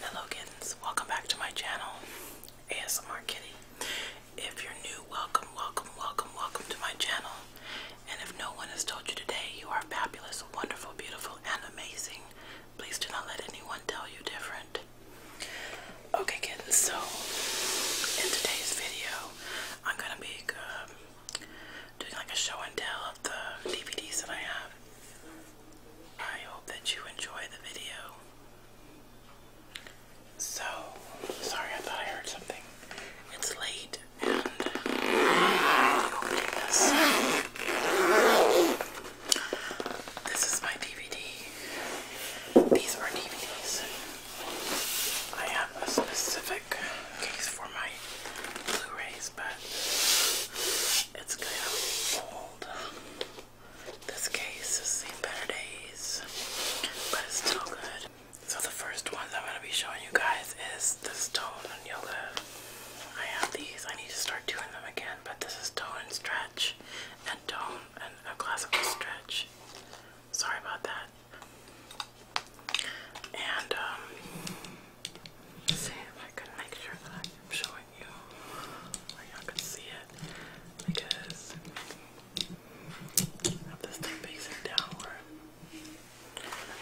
Hello kittens, welcome back to my channel, ASMR Kitty. If you're new, welcome, welcome, welcome, welcome to my channel. And if no one has told you today, you are fabulous, wonderful, beautiful, and amazing. Please do not let anyone tell you different. Okay kittens, so in today's video, I'm gonna be um, doing like a show and tell of the DVDs that I have. I hope that you enjoy the video. So, sorry, I thought I heard something. It's late, and This is my DVD. These are DVDs. I have a specific case for my Blu-rays, but it's kind of old. This case has seen better days, but it's still good. So the first ones I'm gonna be showing you guys is the stone and yoga. I have these. I need to start doing them again, but this is tone and stretch, and tone and a classical stretch. Sorry about that. And um, see if I can make sure that I'm showing you y'all can see it because of this thing facing downward.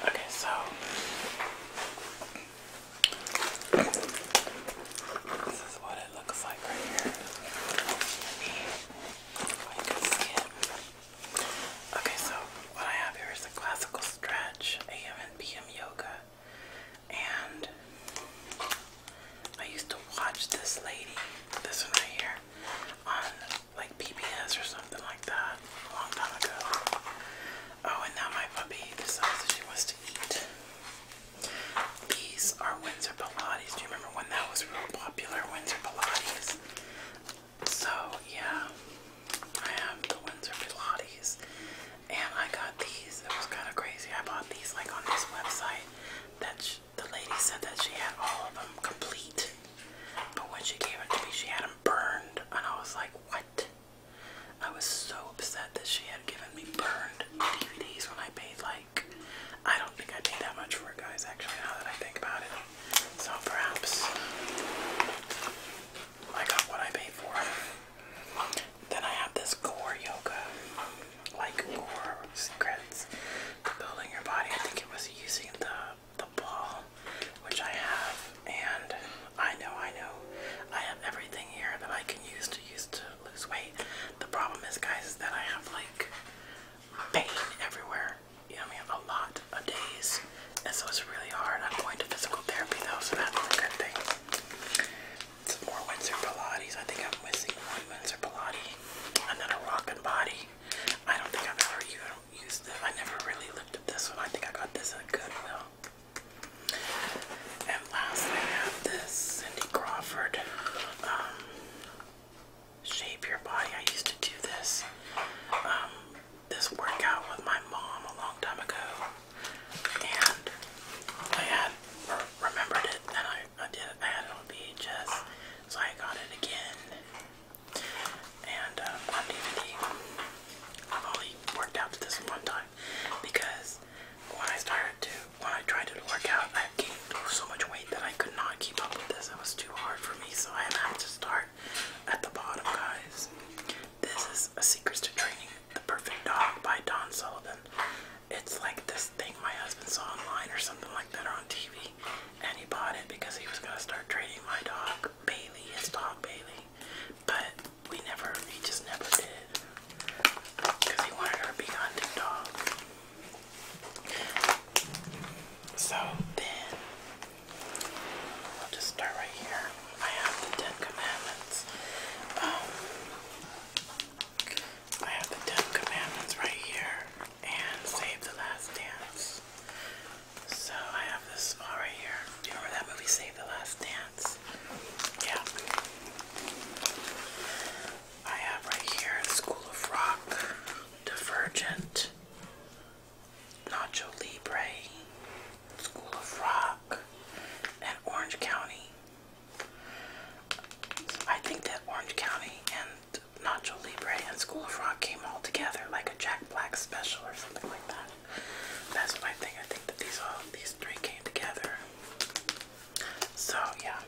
Okay, so this is what it looks like right here. Okay, so what I have here is a classical stretch, AM and PM yoga. And I used to watch this lady, this one right here, on like PBS or something like that a long time ago. Oh, and now my puppy decides that she wants to eat. These are Windsor Pilates. Do you remember when that was real popular? Windsor Pilates. So, yeah, I have the Windsor Pilates and I got these. It was kind of crazy. I bought these like on this website that she, the lady said that she had all of them complete, but when she gave it to me, she had them burned, and I was like, what? I was so upset that she had given me burned DVDs when I paid like I don't think I paid that much for it, guys. Actually, now that I think about it, so perhaps I got what I paid for. Then I have this core yoga, like core secrets to building your body. I think it was using the the ball, which I have, and I know, I know, I have everything here that I can use to use to lose weight. The problem is, guys, is that I have like pain everywhere. You know, I mean, a lot of days, and so it's really hard. I'm going to physical therapy though, so that's a good thing some more Windsor Pilates. I think I'm missing one Windsor Pilates, another Rock and Body. I don't think I've ever even used this. I never really looked at this one. I think I got this at Goodwill. And last, I have this Cindy Crawford um, Shape Your Body. I used to do this um, this workout with my mom a long time ago and I had remembered it, and I, did it. I had it on VHS, so I got it again, and um, uh, on DVD. I've only worked out to this one time because when I started to, when I tried to work out, I gained so much weight that I could not keep up with this. It was too hard for me, so I had to start at the bottom, guys. This is a secret to training the Perfect Dog by Don Sullivan. It's like this thing my husband saw online or something like that on TV. And he bought it because he was going to start training my dog, Bailey, his dog Bailey. But we never, he just never did. Because he wanted her to be hunting dog. So then, I'll just start right here. I have the Ten Commandments. Um, I have the Ten Commandments right here and Save the Last Dance. So I have this small right here. You remember that movie Save the Last Dance? Yeah. I have right here School of Rock, Divergent, Nacho Libre, School of Rock, and Orange County. I think that Orange County and Nacho Libre and School of Rock came all together like a Jack Black special or something like that. That's what I I think that these all these three came together. So yeah,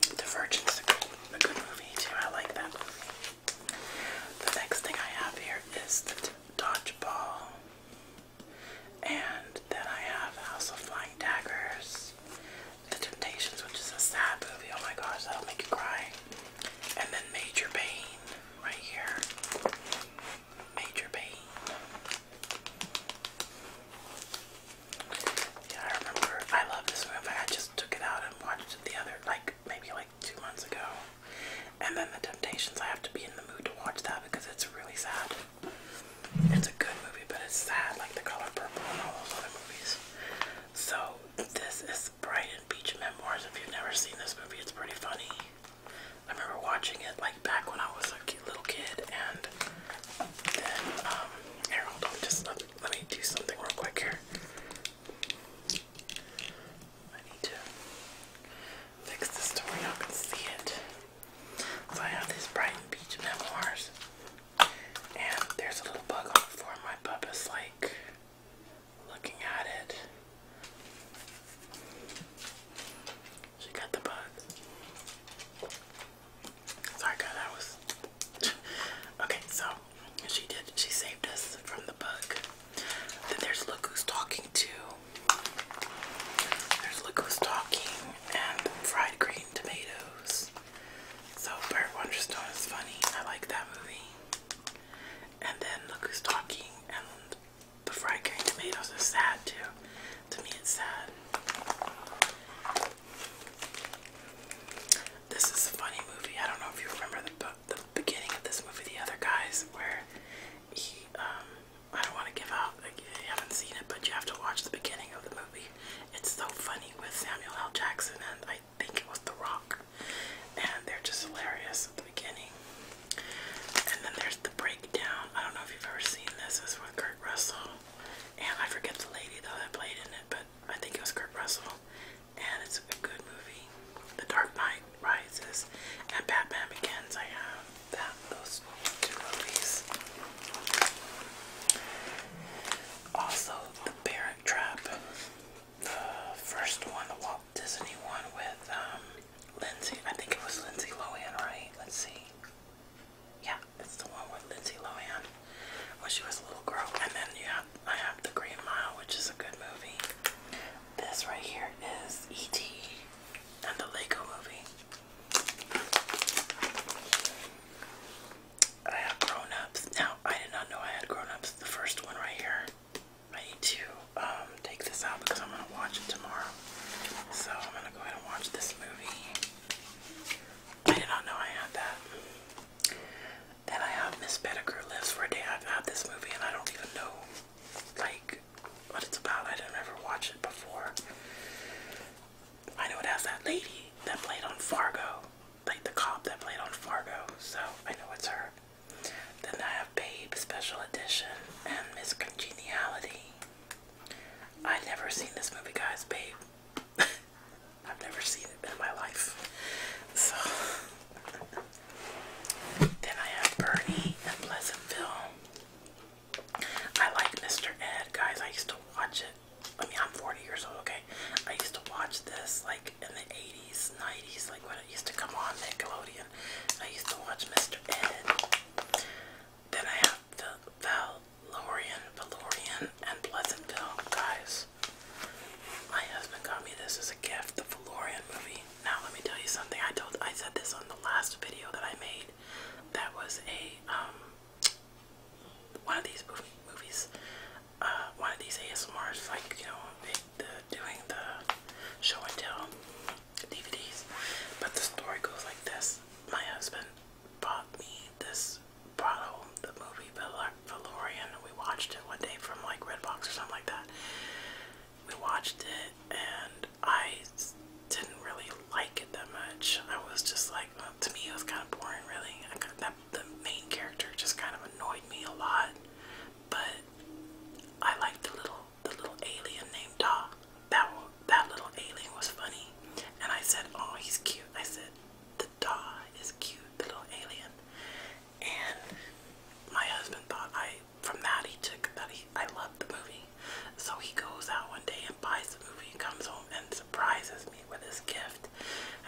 The a good, a good movie too. I like that The next thing I have here is the dodgeball. And then I have House of Flying Daggers, The Temptations, which is a sad movie. Oh my gosh, that'll make you cry. And then Major Pain, right here. Major Pain. Yeah, I remember. I love this movie. I just took it out and watched it the other, like maybe like two months ago. And then The Temptations. I have to be in the mood to watch that because it's really sad. It's a good movie, but it's sad, like The Color Purple and all those other movies. So, this is Brighton Beach Memoirs. If you've never seen this movie, it's pretty funny. I remember watching it like back when I was a cute little kid, and then, um, here, let, me do something real quick here. I need to fix this to where all can see it. So I have these Brighton Beach memoirs. And there's a little bug on My pup is like looking at it. She got the bug. Sorry guys, that was okay, so she did she saved us from the bug. Then there's look talking to. There's look talking and fried green Rotten Tomatoes. So Burt Wonderstone is funny. I like that movie. And then Look Who's Talking and The Fried Green Tomatoes is sad too. To me it's sad. This is a funny movie. I don't know if you remember the, the beginning of this movie, The Other Guys, where he, um, I don't want to give out out. You haven't seen it, but you have to watch the beginning of the movie. It's so funny with Samuel L. Jackson and I think it was The Rock. And they're just hilarious at the beginning. And then there's the breakdown. I don't know if you've ever seen this. It's with Kurt Russell. And I forget the lady though that played in it, but I think it was Kurt Russell. And it's a good movie. The Dark Knight Rises and Batman Begins. I have that those also, The Parent Trap, the first one, the Walt Disney one with um, Lindsay, I think it was Lindsay Lohan, right? Let's see. Yeah, it's the one with Lindsay Lohan when she was a little girl. And then you have, I have The Green Mile, which is a good movie. This right here is E.T. and the Lego movie. I have grown Now, I did not know I had grown The first one right here. I need to um, take this out because I'm going to watch it tomorrow. So I'm going to go ahead and watch this movie. I did not know I had that. Then I have Miss Pettigrew Lives for a Day. I've had this movie and I don't even know like what it's about. I didn't ever watch it before. I know it has that lady that played on Fargo, like the cop that played on Fargo, so I know it's her. Then I have Babe Special Edition and Miss Congeniality. I have never seen this movie, guys. Babe, I've never seen it in my life. So then I have Bernie and Pleasantville. I like Mr. Ed, guys. I used to watch it. I mean, I'm 40 years old, okay? I used to watch this like in the 80s, 90s, like when it used to come on Nickelodeon. I used to watch Mr. Ed. Then I have the Valorian, Valorian, and Pleasantville, guys. My husband got me this as a gift, the Valorian movie. Now let me tell you something. I told, I said this on the last video that I made. That was a um, one of these movie, movies, uh, one of these ASMRs, like you know, they, the, doing the show and tell DVDs. But the story goes like this: My husband bought me this, brought home the movie Valorian. We watched it one day from like Redbox or something like that. We watched it, and I didn't really like it that much. I was just like, to me, it was kind of boring, really. that, the main character just kind of annoyed me a lot, but I liked the little the little alien named Daw. That that little alien was funny, and I said, oh, he's cute. I said, the Daw is cute, the little alien, and my husband thought I from that he took that he I love the movie, so he goes out one day and buys the movie and comes home and surprises me with his gift.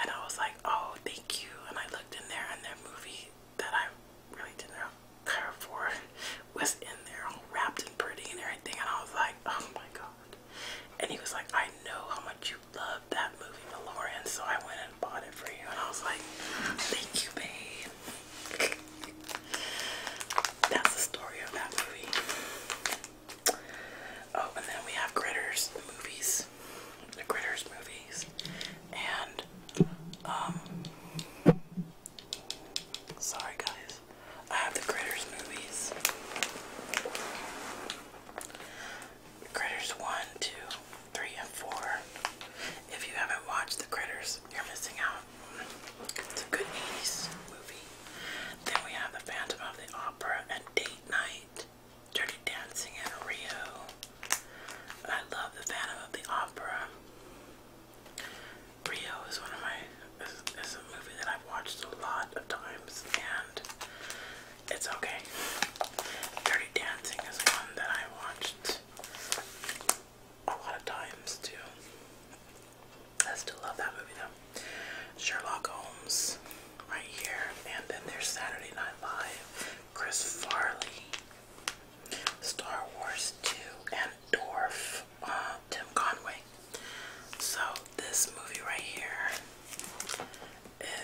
And I was like, oh, thank you. And I looked in there, and that movie that I really didn't care for was in there, wrapped and pretty and everything. And I was like, oh my god. And he was like, I know how much you love that movie, Lauren, so I went and bought it for you. And I was like, thank you, babe. That's the story of that movie. Oh, and then we have Critters, the movies, the Critters movies, and um, sorry guys, I have the Critters movies. Critters one, two, three, and 4. If you haven't watched The Critters, you're missing out. It's a good movie. Then we have the Phantom of the Opera, a date night, Dirty Dancing in Rio. I love the Phantom of the Opera. Rio is one of my is, a movie that I've watched a lot of times, and it's okay. Dirty Dancing is one that I watched a lot of times too. I still love that movie though. Sherlock Holmes right here. And then there's Saturday Night Live. Chris Farley. Star Wars 2 and Dwarf. Uh, Tim Conway. So this movie right here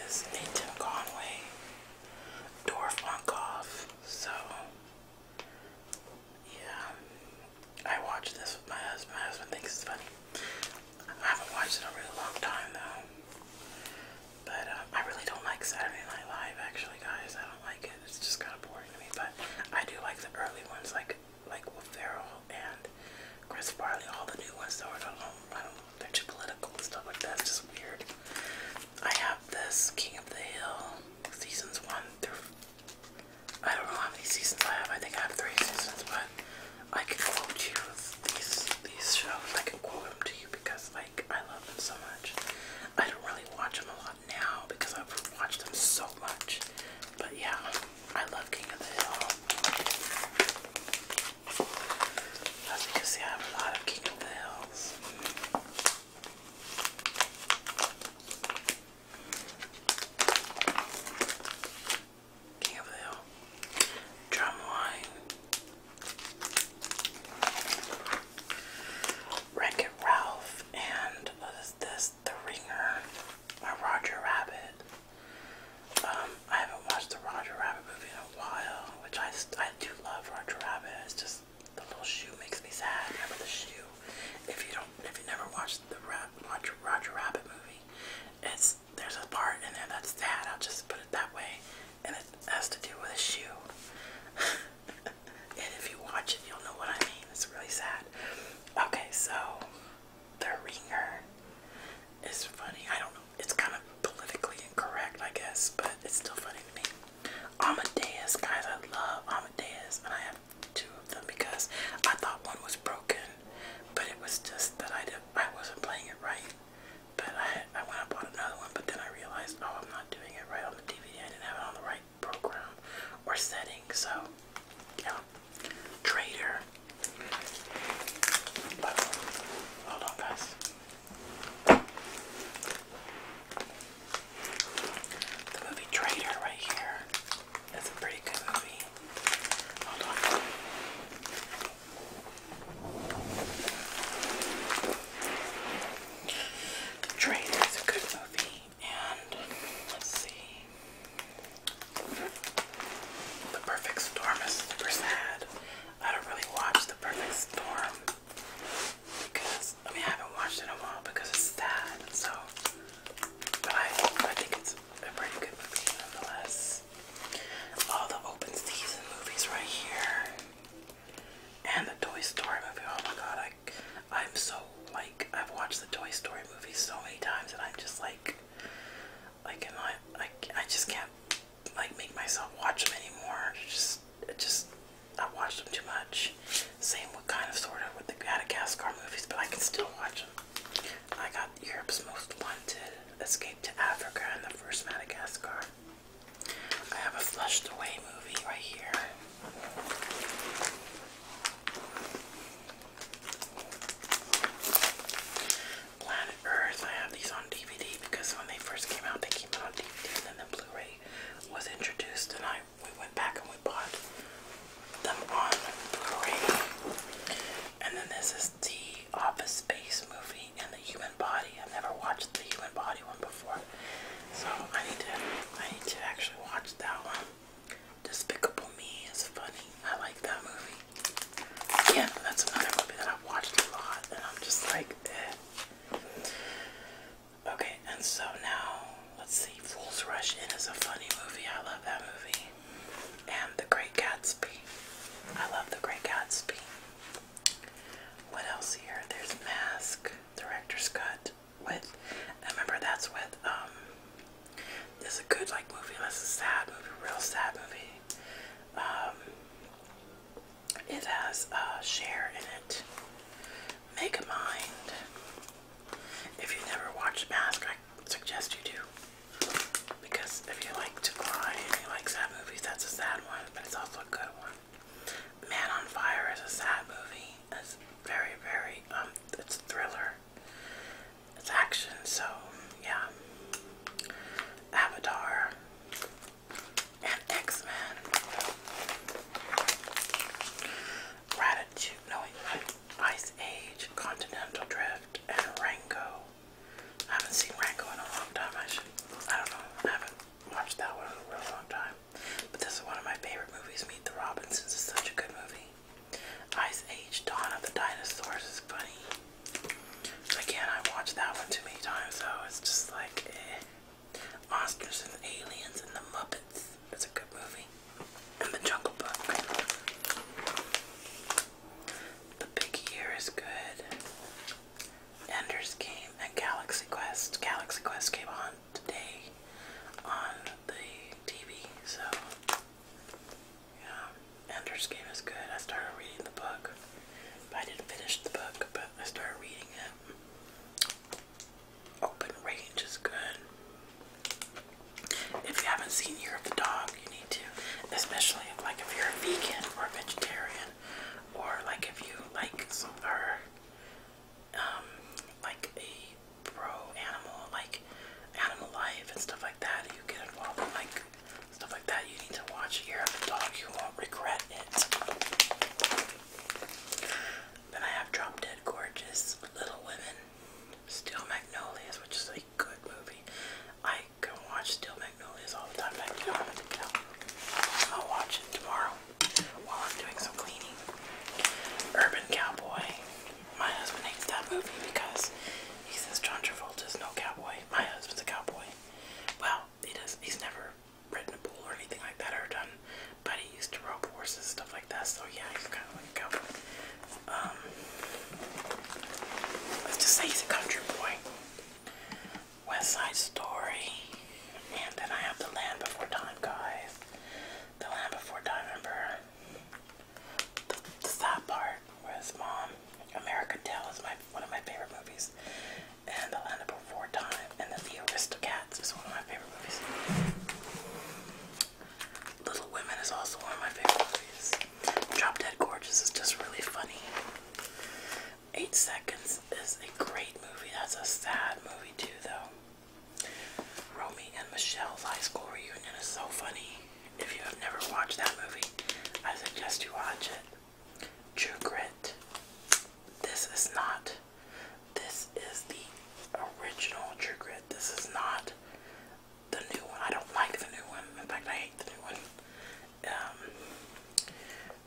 is a Tim Conway Dwarf Monkoff. So yeah. I watch this with my husband. My husband thinks it's funny. I haven't watched it in a really long time though. But um, I really don't like Saturday Night Live actually, guys. I don't like it. It's just kind of boring to me. But I do like the early ones, like like Will Ferrell and Chris Farley. All the new ones though, I don't know. I don't know. They're too political and stuff like that. It's just weird. I have this King of the Hill seasons one through. I don't know how many seasons I have. I think I have three seasons, but I can quote you these these shows. I can quote them to you because like I love them so much. I don't really watch them a lot now because I've watched them so much. But yeah, I love King of the Hill. As you I have a lot of King of the Hills. King of the Hill, Drumline, Wreck Ralph, and what is this? The Ringer, or Roger Rabbit. Um, I haven't watched the Roger Rabbit movie in a while, which I, I do love Roger Rabbit. It's just the little shoe makes me sad. Remember the shoe? If you don't, if you never watched the Roger Rabbit movie, it's there's a part in there that's that. I'll just put it that way, and it has to do with a shoe. and if you watch it, you'll know what I mean. It's really sad. Okay, so the ringer is funny. I don't know. It's kind of politically incorrect, I guess, but it's still funny to me. Amadeus, guys, I love Amadeus, and I have two of them because I thought one was broken but it was just that I didn't, I wasn't playing it right. But I had, I went and bought another one, but then I realized, oh, I'm not doing it right on the DVD. I didn't have it on the right program or setting. So, yeah, traitor. But, hold on, guys. The movie Traitor right here. That's a pretty good movie. Hold on. Train is a good movie, and let's see. The Perfect Storm is super sad. I don't really watch The Perfect Storm because I mean I haven't watched it in a while because it's sad. So, but I I think it's a pretty good movie nonetheless all the open season movies right here. And the Toy Story movie. Oh my god, I I'm so like I've watched the Toy Story movies so many times that I'm just like like and I I, just can't like make myself watch them anymore. Just just I watched them too much. Same with kind of sort of with the Madagascar movies, but I can still watch them. I got Europe's Most Wanted, Escape to Africa, and the First Madagascar. I have a Flushed Away movie right here. Planet Earth, I have these on DVD because when they first came out, they came out on DVD and then the Blu-ray was introduced and I we went back and we bought them on Blu-ray. And then this is the Office Space movie and the Human Body. I've never watched the Human Body one before, so I need to I need to actually watch that one. Despicable Me is funny. I like that movie. Yeah, that's another movie that I've watched a lot, and I'm just like, eh. Okay, and so now let's see. Fools Rush In is a funny movie. I love that movie and The Great Gatsby. I love The Great Gatsby. What else here? There's Mask, Director's Cut. With, I remember that's with, um, this is a good like movie, this is a sad movie, real sad movie. Um, it has uh, Cher in it. Make a Mind. If you have never watched Mask, I suggest you do. Because if you like to cry and you like sad that's a sad one, but it's also a good one. Man on Fire is a sad movie. It's very, very, um, it's a thriller. It's action, so yeah. Avatar and X-Men. Ratitude, Ice Age, Continental Drift, and Rango. I haven't seen Ranko in a long time. I should, I don't know, I haven't watched that one in a real long time. But this is one of my favorite movies, Meet the Robinsons is such a good movie. Ice Age Dawn of the Dinosaurs is funny. Again, I watched that one too many times, so it's just like Monsters eh. and Aliens and the Muppets. It's a good movie. And the Jungle Book. The Big Year is good. Ender's Game and Galaxy Quest. Galaxy Quest came on today on the TV, so yeah, Ender's Game is good. I started reading the book, I didn't finish the book, but I started reading it. Open Range is good. If you haven't seen Year of the Dog, you to, especially like if you're a vegan or a vegetarian, or like if you like some are um like a pro animal, like animal life and stuff like that. You get involved in like stuff like that. You need to watch Year of the Dog. You won't regret it. Then I have Drop Dead Gorgeous, Little Women, Steel Magnolias, which is a good movie. I can watch Steel Magnolias all the time. I will watch it tomorrow while I'm doing some cleaning. Urban Cowboy. My husband hates that movie because he says John Travolta no cowboy. My husband's a cowboy. Well, he does. He's never ridden a bull or anything like that or done. But he used to rope horses, stuff like that. So yeah, he's kind of like a cowboy um, let's just say he's a country boy. West Side Story, and then I have The Land Before Time, guys. The Land Before Time, remember? The, the sad part was mom. American Tale is my one of my favorite movies, and The Land Before Time, and The, the Aristocats is one of my favorite movies. Little Women is also one of my favorite movies. Drop Dead Gorgeous is just really funny. Eight Seconds is a great movie. That's a sad movie too, though. Romy and Michelle's high school reunion is so funny. If you have never watched that movie, I suggest you watch it. True Grit. This is not. This is the original True Grit. This is not the new one. I don't like the new one. In fact, I hate the new one. Um,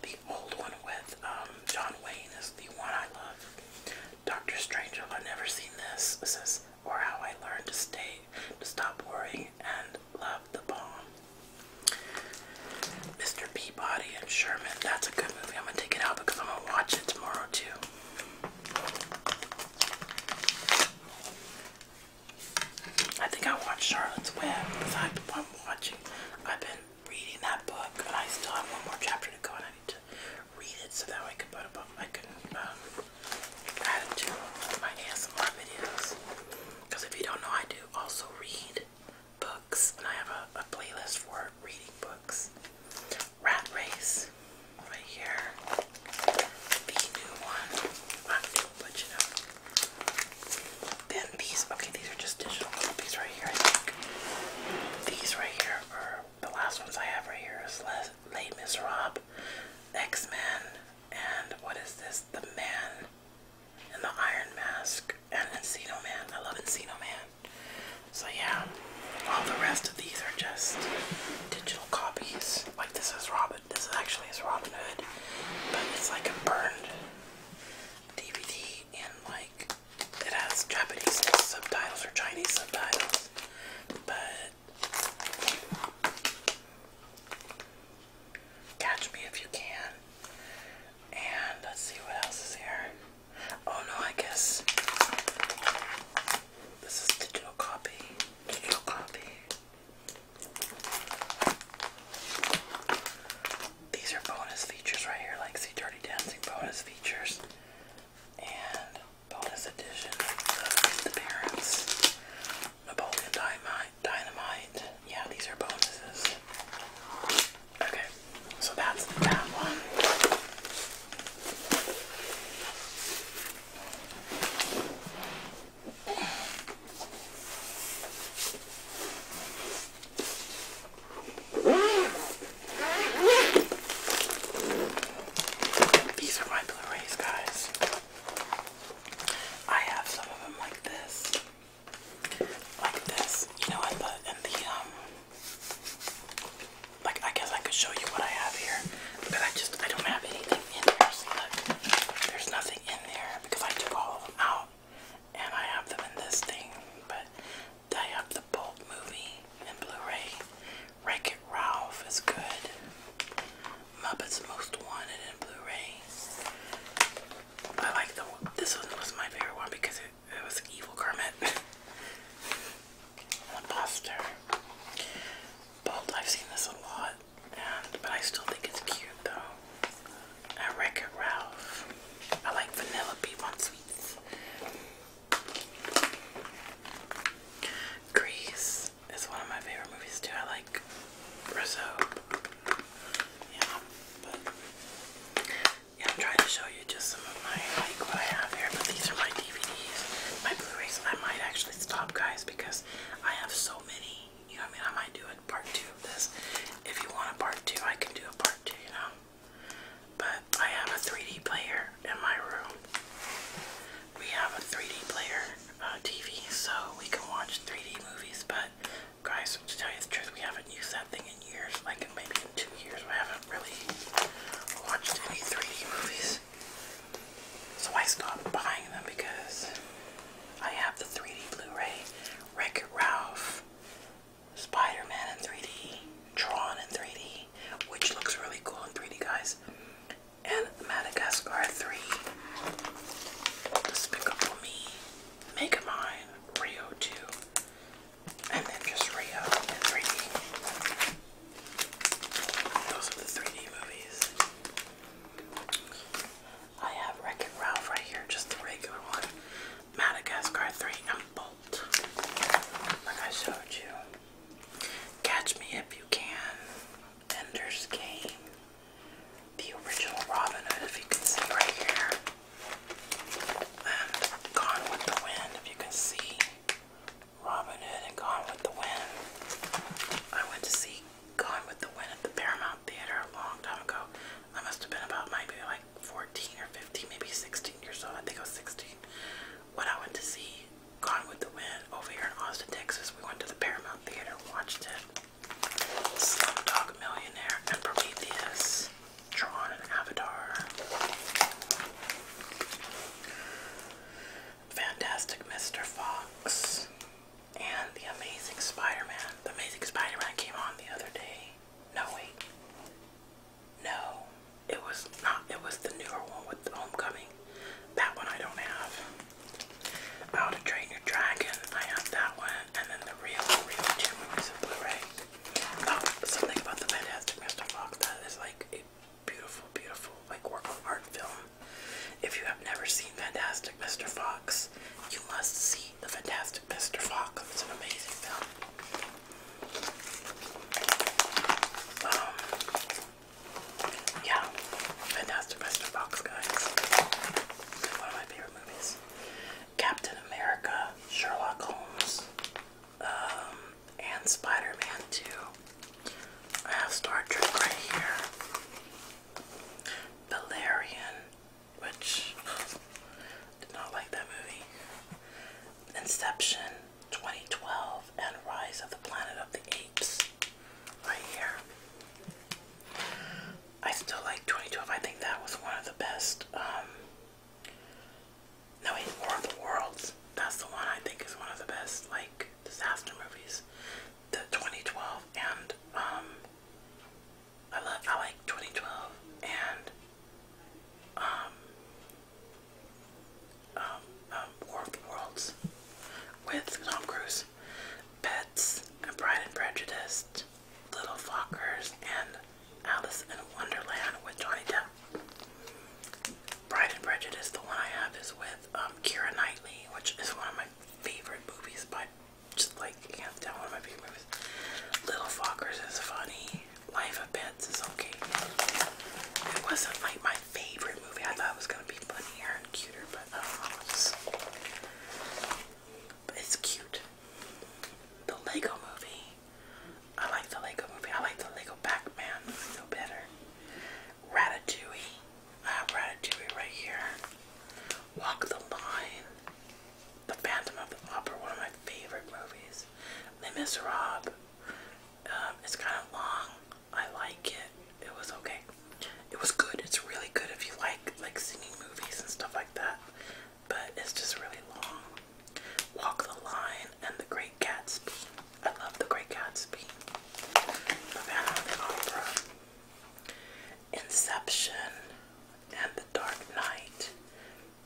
the old one with um, John Wayne is the one I love. Doctor Strangelove, I've never seen this. It says, or how I learned to stay, to stop worrying and love the bomb. Mr. Peabody and Sherman. That's a good movie. I'm gonna take it out because I'm gonna watch it tomorrow too. I think I watched Charlotte's Web because i am watching. I've been reading that book, and I still have one more chapter to go, and I need to read it so that way I can put up. I can um, add it to my ASMR videos. Because if you don't know, I do also read books, and I have a, playlist for reading books. Rat Race, right here. The new one, not new, but you know. Then these, okay, these are just digital copies right here, These right here are the last ones I have right here is Les Les Miserables, X-Men, and what is this? The Man and the Iron Mask and Encino Man. I love Encino Man. So yeah, all the rest of these are just digital copies. Like this is Robin. This actually is Robin Hood, but it's like a burned DVD and like it has Japanese subtitles or Chinese subtitles, but catch me if you can. And let's see what else is here. Oh no, I guess this is digital copy. Digital copy. These are bonus features right here, like see Dirty Dancing bonus features and bonus edition of the parents. Napoleon Dynamite, Dynamite. Yeah, these are bonuses. Okay, so that's that one. These are my Blu-rays, guys. I have some of them like this. Like this. You know, what? the, in the, um, like, I guess I could show you what I have here, but I just, I don't have anything in there. See, look, there's nothing in there because I took all of them out and I have them in this thing. But I have the Bolt movie and Blu-ray. Wreck It Ralph is good. Muppets Most Wanted in Blu-ray. I like the this one was my favorite one because it, it was Evil Kermit. the Buster. Bolt, I've seen this a lot but I still think it's cute though. I wreck it Ralph. I like vanilla Bean* sweets. Grease is one of my favorite movies too. I like Rizzo. Yeah, but yeah, I'm trying to show you just some of my like what I have here, but these are my DVDs, my Blu-rays. I might actually stop, guys, because I have so many you know what I mean? I might do a part two of this. If you want a part two, I can do a part two, you know? But I have a 3D player in my room. We have a 3D player uh, TV, so we can watch 3D movies. But, guys, to tell you the truth, we haven't used that thing in years. Like, maybe in two years, we haven't really watched any 3D movies. So I stopped buying them because I have the 3D Blu-ray, Wreck-It Ralph, Spider-Man in 3D, Tron in 3D, which looks really cool in 3D, guys. And Madagascar 3. Despicable Me, Mega Rio 2, and then just Rio in 3D. Those are the 3D movies. I have Wreck-It Ralph right here, just the regular one. Madagascar 3 and Bolt. Like I showed you. Catch Me If You Can. Ender's Game. The original Robin Hood, if you can see right here. And Gone with the Wind, if you can see. Robin Hood and Gone with the Wind. I went to see Gone with the Wind at the Paramount um, theater a long time ago. I must have been about maybe like 14 or 15, maybe 16 years old. I think I was 16 when I went to see Gone with the Wind over here in Austin, Texas. We went to the Paramount Theater, watched it. Slumdog Millionaire and Prometheus, Tron Avatar. Fantastic Mr. Fox. And The Amazing Spider-Man. The Amazing Spider-Man came on the other day. No, wait. No, it was not. It was the newer one with the Homecoming. That one I don't have. How to Train Your Dragon. I have that one. And then the real, real two movies of Blu-ray. Oh, something about the Fantastic Mr. Fox. That is like a beautiful, beautiful like work of art film. If you have never seen Fantastic Mr. Fox. You must see The Fantastic Mr. Fox. It's an amazing film. Um, yeah, Fantastic Mr. Fox, guys. One of my favorite movies. Captain America, Sherlock Holmes, um, and Spider-Man 2. I have Star Trek right here. Valerian, which did not like that movie. Inception 2012 and Rise of the Planet of the Apes right here. I still like 2012. I think that was one of the best. Um, no, wait, War of the Worlds. That's the one I think is one of the best, like, disaster movies. The 2012 and, um, I love I like 2012 and um um War of the Worlds with Tom Cruise, Pets, and Pride and Prejudice, Little Fockers, and Alice in Wonderland with Johnny Depp. Pride and Prejudice, the one I have is with um, Knightley, which is one of my favorite movies by just like hands down one of my favorite movies. Little Fockers is funny. Life of Pets is okay. It wasn't like my favorite movie. I thought it was gonna be funnier and cuter, but It's, cute. The Lego movie. I like the Lego movie. I like the Lego pac movie no better. Ratatouille. I have Ratatouille right here. Walk the Line, The Phantom of the Opera, one of my favorite movies. Les Miserables. Um, it's kind of long. I like it. It was okay. It was good. It's really good if you like like singing movies and stuff like that. But it's just really long. Walk the Line and The Great Gatsby. I love The Great Gatsby. The Phantom Inception and The Dark Knight,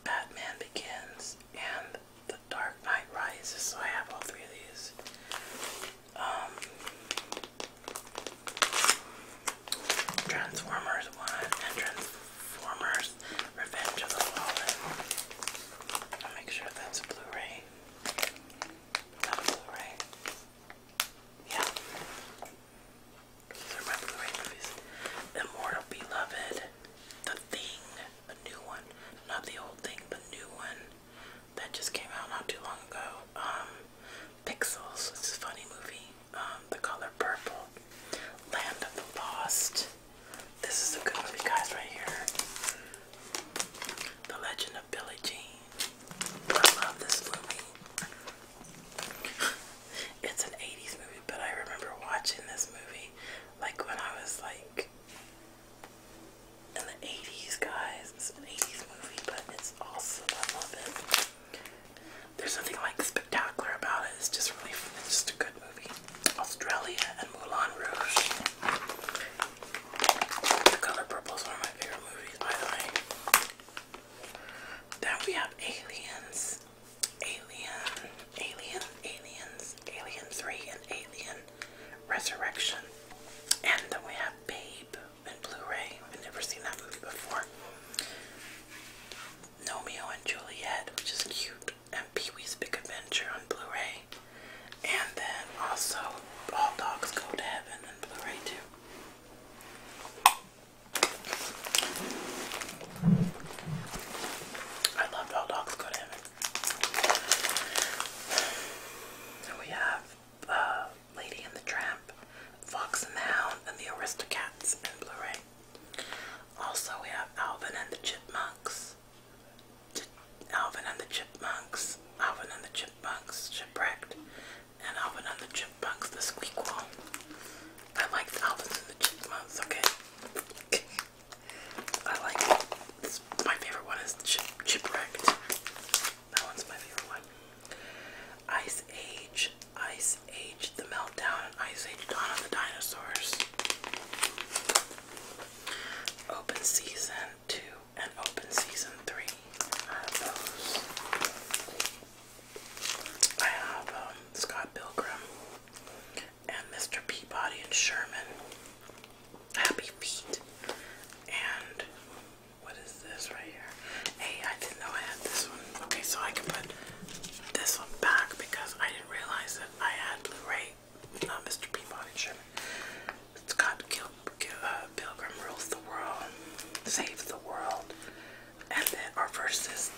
Batman Begins, and The Dark Knight Rises. So I have all three of these. Um, Transformers 1 and Transformers Revenge of the Fallen. I'll make sure that's a Blu-ray. Is a Blu-ray? Yeah the right Beloved, The Thing, a new one, not the old thing, the new one that just came out not too long ago. Um, Pixels, this is a funny movie. Um, the Color Purple, Land of the Lost. This is a good movie, guys, right here. The Legend of Billy Jean. I love this movie it's an 80s movie, but I remember watching this movie like when I was like in the 80s, guys. It's an 80s movie, but it's also I love it. There's nothing like spectacular about it. It's just really, it's just a good movie. Australia and Moulin Rouge. Color Purple is one of my favorite movies, by the way. Then we have Aliens, Alien, Alien, Aliens, Alien 3, and Alien Resurrection. And then we have Babe and Blu-ray. I've never seen that movie before. Romeo and Juliet, which is cute, and Pee Wee's Big Adventure on Blu-ray. And then also All Dogs Go to Heaven on Blu-ray too. I love how dogs go to him. we have uh, Lady and the Tramp, Fox and the Hound, and the Aristocats in Blu-ray. Also, we have Alvin and the Chipmunks. Alvin and the Chipmunks. Alvin and the Chipmunks. Shipwrecked and Alvin and the Chipmunks, the Squeakquel. I like Alvin and the Chipmunks, okay? I like my favorite one is Chipwrecked. That one's my favorite one. Ice Age, Ice Age, The Meltdown, Ice Age, Dawn of the Dinosaurs. Open Season 2 and Open Season 3. I have um, Scott Pilgrim and Mr. Peabody and Sherman, Happy Feet, and what is this right here? Hey, I didn't know I had this one. Okay, so I can put this one back because I didn't realize that I had Blu-ray, not uh, Mr. Peabody and Sherman. Scott uh, Pilgrim rules the world, saves the world and then or versus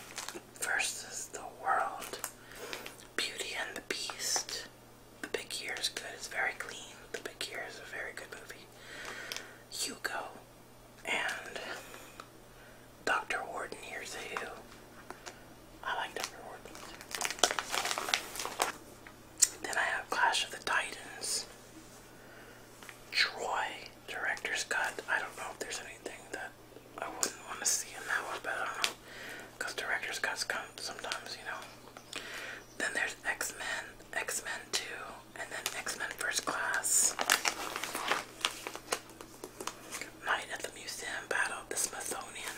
versus the world. Beauty and the Beast. The Big Year is good. It's very clean. The Big Year is a very good movie. Hugo and Dr. Warden Here's a Who. I like Dr. Warden. Then I have Clash of the Titans. Troy director's cut. I don't know if there's anything that I wouldn't want to see in that one, but I don't know. Because director's cuts come sometimes, you know. Then there's X Men, X Men 2, and then X Men First Class. Night at the Museum, Battle of the Smithsonian,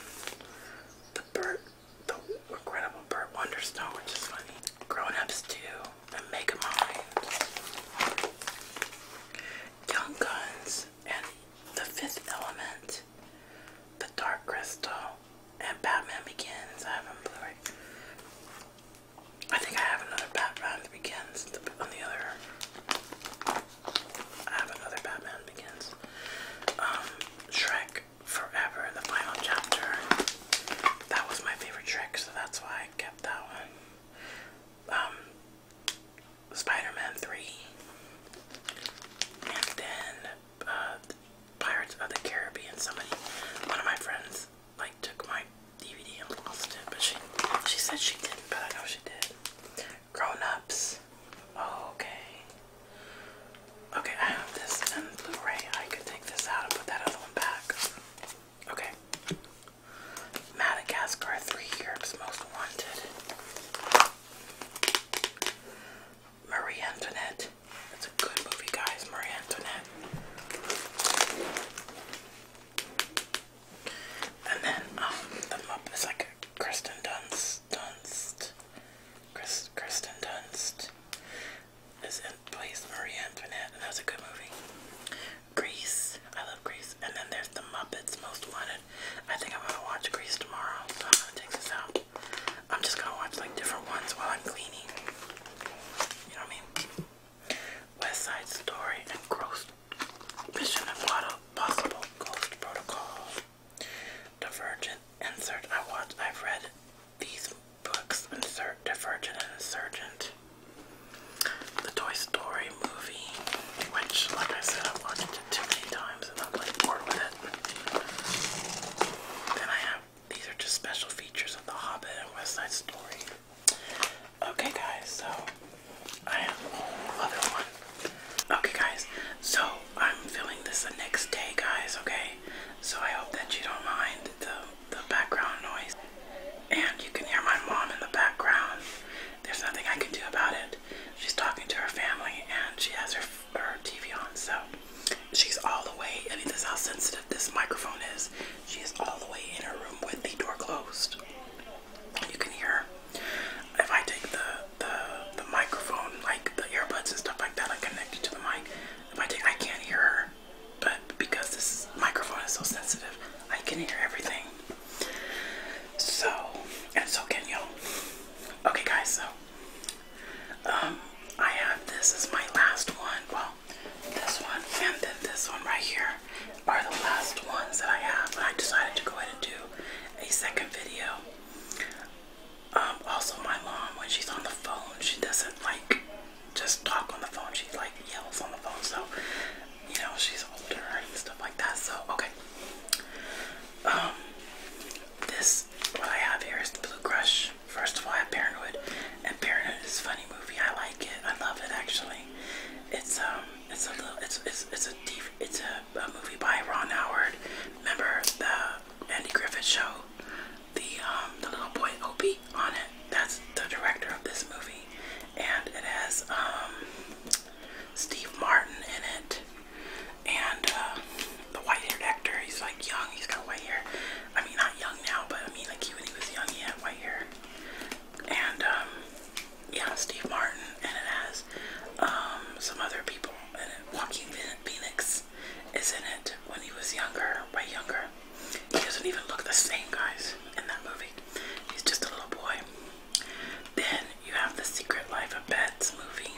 The Burt, The Incredible Burt Wonderstone, which is funny. Grown Ups 2, Megamind, Young Guns, and The Fifth Element, The Dark Crystal, and Batman Begins. I haven't blu I think I have another Batman Begins on the other. I have another Batman Begins. Um, Shrek Forever, the final chapter. That was my favorite Shrek, so that's why I kept that one um, Spider-Man 3 and then uh, Pirates of the Caribbean. Somebody, one of my friends, like took my DVD and lost it, but she she said she didn't, but I know she did. Grown-ups. okay. Okay, I have this in Blu-ray. I could take this out and put that other one back. Okay. Madagascar, three Europe's most wanted. Marie Antoinette. That's a good movie, guys. Marie Antoinette. And then um, the Muppet is like Kristen Dunst. Dunst. Kristen Dunst is in plays Marie Antoinette, and that's a good movie. Grease. I love Grease. And then there's the Muppets Most Wanted. I think I'm gonna watch Grease tomorrow, so I'm gonna take this out. I'm just gonna watch like different ones while I'm cleaning. You know what I mean? West Side Story and Gross Mission Impossible Ghost Protocol. Divergent Insert. I watched. I've read these books. Insert Divergent and Insurgent the Toy Story movie, which, like I said, I've watched it too many times and I'm like bored with it. Then I have these are just special features of The Hobbit and West Side Story. Okay, guys, so I have a one. Okay, guys, so I'm filling this the next day, guys, okay? So I hope that you don't mind though the background noise. And you can hear my mom in the background. There's nothing I can do about it. She's talking to her family and she has her, her TV on, so she's all the way. I mean, this how sensitive this microphone is. She is all the way in her room with the door closed. You can hear if I take the the the microphone, like the earbuds and stuff like that, like connected to the mic. If I take, I can't hear her but because this microphone is so sensitive, I can hear everything. So, and so can you. Okay, guys, so um, I have this is my last one. Well, this one and then this one right here are the last ones that I have. But I decided to go ahead and do a second video. Um, also, my mom, when she's on the phone, she doesn't like just talk on the phone. She like yells on the phone. So you know, she's older and stuff like that. So, okay. Um, this, what I have here is the Blue Crush. First of all, I have Parenthood. And Parenthood is a funny movie. I like it. I love it, actually. It's, um, it's a little, it's, it's, it's a, it's a, a movie by Ron Howard. Remember the Andy Griffith show? The, um, the little boy, Opie, on it. That's the director of this movie and it has um, Steve Martin in it, and uh, the white-haired actor. He's like young. He's got white hair. I mean, not young now, but I mean, like he, when he was young, he had white hair. And um, yeah, Steve Martin, and it has um, some other people And Walking Joaquin Phoenix is in it when he was younger, way younger. He doesn't even look the same, guys, in that movie. He's just a little boy. Then you have the Secret Life of Pets movie.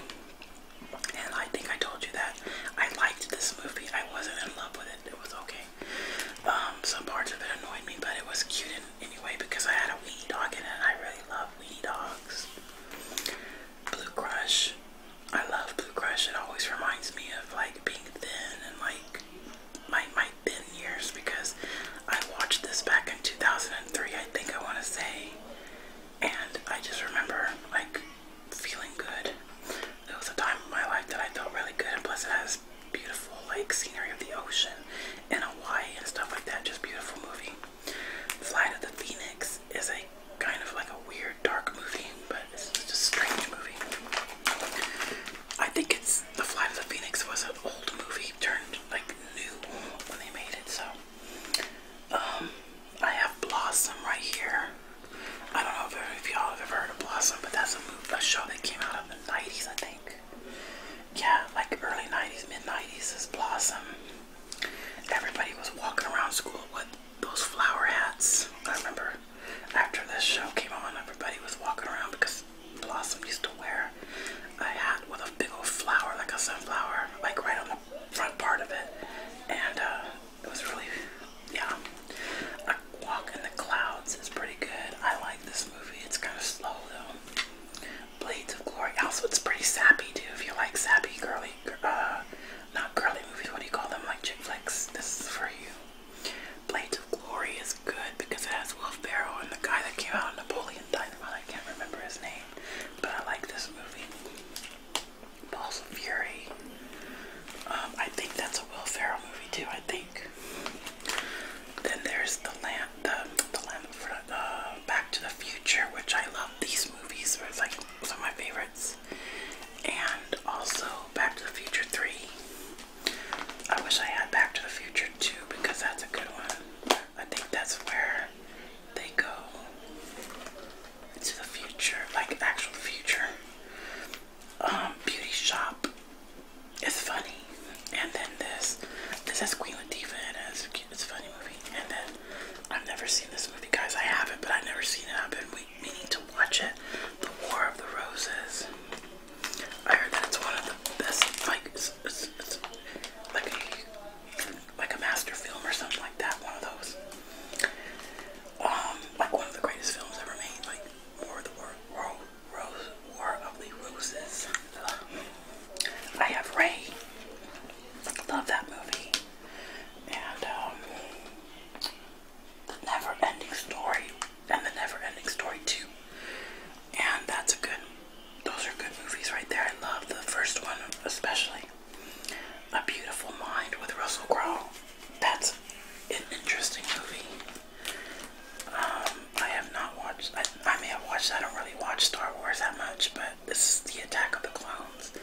And I think I told you that I liked this movie. I wasn't in love with it. It was okay. Um, some parts of it annoyed me, but it was cute in anyway because I had a wee dog and I really love wee dogs. Blue Crush. I love Blue Crush. It always reminds me of like being thin and like my my thin years because I watched this back in 2003, I think I want to say, and I just remember like feeling good. It was a time in my life that I felt really good, and plus it has beautiful like scenery of the ocean and Hawaii and stuff like that. Just beautiful movie. Flight of the Phoenix is a kind of like a weird dark movie, but it's just a strange movie. I think it's The Flight of the Phoenix was an old movie turned like new when they made it. So um, I have Blossom right here. I don't know if, y'all have ever heard of Blossom, but that's a movie, a show that came out of the 90s, I think. Yeah, like early 90s, mid 90s is Blossom. Everybody was walking around school with those flower hats. I remember after this show came on, everybody was walking around because Blossom used to wear a hat with a big old flower, like a sunflower, like right on the front part of it. And uh, it was really, yeah. A Walk in the Clouds is pretty good. I like this movie. It's kind of slow though. Blades of Glory. Also, it's pretty sappy too. If you like sappy, girly, uh, not girly movies, what do you call them? Like chick flicks. This is for you. Blades of Glory is good because it has Will Ferrell and the guy that came out of Napoleon Dynamite. I can't remember his name, but I like this movie. Balls of Fury. Um, I think that's a Will Ferrell movie too. I think. Then there's the land, the the lamp for uh, Back to the Future, which I love these movies. are like some of my favorites, and also Back to the Future Three. I wish I had Back to the Future too because that's a good one. I think that's where they go to the future, like actual future. Um, Beauty Shop is funny, and then this this is Queen Latifah in it. It's a, cute, it's a funny movie, and then I've never seen this movie, guys. I haven't, but I've never seen it. I've been meaning to watch it. The War of the Roses. I heard that's one of the best, like, it's, like a like a master film or something like that. One of those, um, like one of the greatest films ever made, like War of the Roses. I have Ray. Love that movie. And um, story and The Never Ending Story too, And that's a good, those are good movies right there. I love the first one, especially. A Beautiful Mind with Russell Crowe. That's an interesting movie. Um, I have not watched, I, I may have watched, I don't really watch Star Wars that much, but this is The Attack of the Clones.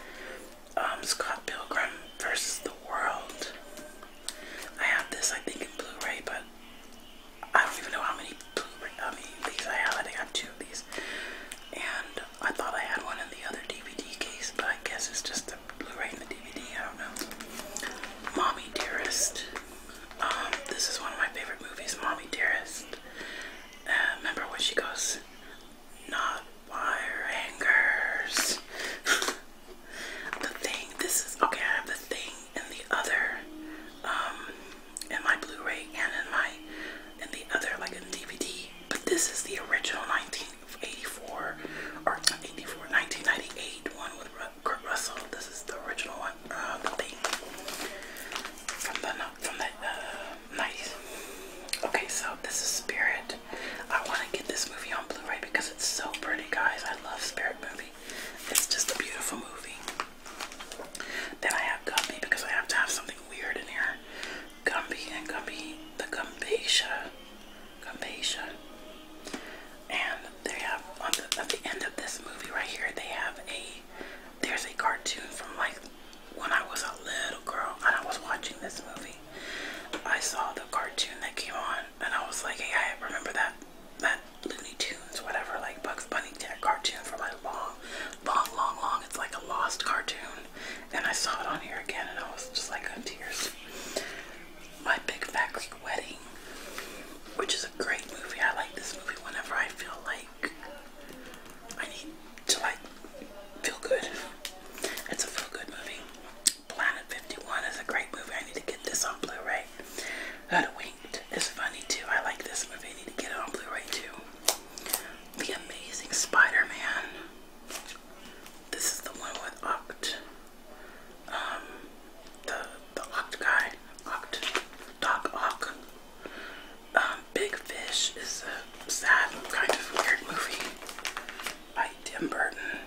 Um, Scott Pilgrim versus the World. I have this, I think, in Blu ray, but I don't even know how many Blu-ray, how many these I have. I think two of these. And I thought I had one in the other DVD case, but I guess it's just the Blu-ray and the DVD. I don't know. Mommy Dearest. Um, this is one of my favorite movies, Mommy Dearest. Uh, remember when she goes, not by hangers. the thing. This is okay. I have the thing in the other, um, in my Blu-ray and in my, in the other, like in DVD. But this is the original 1984 or 84, 1998 one with Kurt Russell. This is the original one, uh, the thing from the from the 90s. Uh, okay, so this is Spirit. I want to get this movie on Blu-ray because it's so pretty, guys. I love Spirit movie. It's just a beautiful movie. Then I have Gumby because I have to have something weird in here. Gumby and Gumby, the Gumbasia. Gumbasia. And they have, on the, at the end of this movie right here, they have a, there's a cartoon from like when I was a little girl and I was watching this movie. I saw the cartoon that came on and I was like, hey, I remember that that Looney Tunes, whatever, like Bugs Bunny cartoon for my long, long, long, long. It's like a lost cartoon. And I saw it on here again and I was just like on tears. My Big Fat Greek Wedding, which is a great movie. I like this movie whenever I feel like I need to like feel good. It's a feel good movie. Planet 51 is a great movie. I need to get this on Blu-ray. How do we Instinct is funny too. I like this movie. I need to get it on Blu-ray too. The Amazing Spider-Man. This is the one with Oct. Um, the the Oct guy. Oct. Doc Ock. Um, Big Fish is a sad, kind of weird movie by Tim Burton.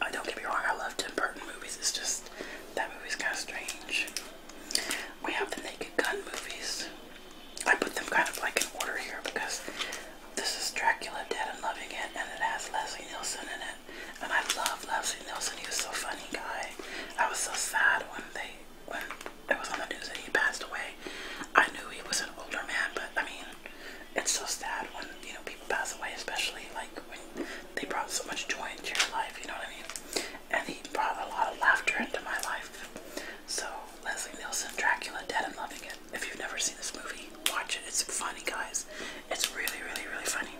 I don't get me wrong. I love Tim Burton movies. It's just that movie's kind of strange. We have the Naked Gun movies. I put them kind of like in order here because this is Dracula Dead and Loving It and it has Leslie Nielsen in it. And I love Leslie Nielsen. He was so funny guy. I was so sad when they when it was on the news that he passed away. I knew he was an older man, but I mean it's so sad when, you know, people pass away, especially like they brought so much joy into your life, you know what I mean? And he brought a lot of laughter into my life. So, Leslie Nielsen, Dracula, Dead and Loving It. If you've never seen this movie, watch it. It's funny, guys. It's really, really, really funny.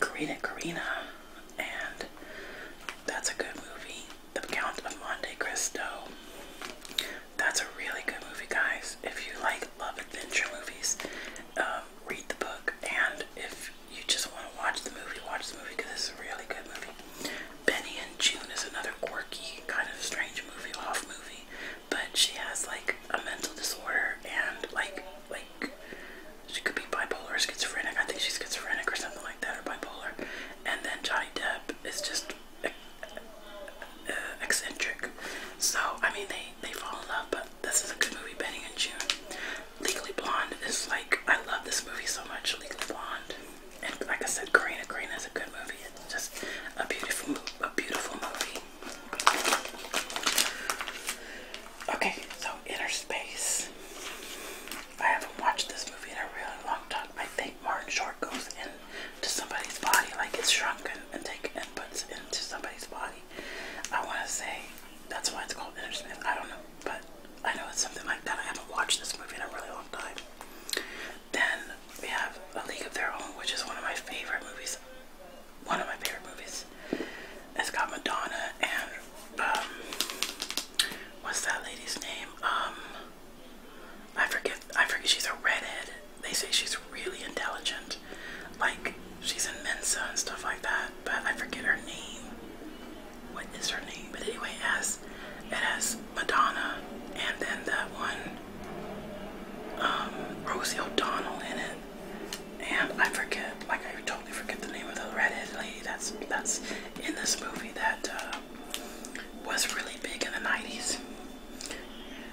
Karina Karina, and that's a good movie. The Count of Monte Cristo. That's a really good movie, guys. If you like love adventure movies, um, read the book. And if you just want to watch the movie, watch the movie because it's a really good movie. Benny and June is another quirky, kind of strange movie, off movie, but she has like a mental disorder and like, like she could be bipolar or schizophrenic. I think she's schizophrenic or something like that, or bipolar. And then Johnny Depp is just uh, eccentric. So I mean, they they fall in love, but this is a good movie, Benny and June. Legally Blonde is like, I love this movie so much, Legally Blonde. And like I said, Karina, Karina is a good movie. It's just a beautiful, a beautiful movie. Okay, so Inner Space. I haven't watched this movie in a really long time. I think Martin Short goes into somebody's body, like it's shrunken and take inputs into somebody's body. I want to say that's why it's called Inner I don't know, but I know it's something like that. I haven't watched this movie in a really long time. Then we have A League of Their Own, which is one of my favorite movies. One of my favorite movies. It's got Madonna and um, what's that lady's name? Um, I forget. I forget. She's a redhead. They say she's really intelligent. Like She's in Mensa and stuff like that, but I forget her name. What is her name? But anyway, it has, it has Madonna and then that one, um, Rosie O'Donnell in it. And I forget, like I totally forget the name of the redheaded lady that's, that's in this movie that uh, was really big in the 90s.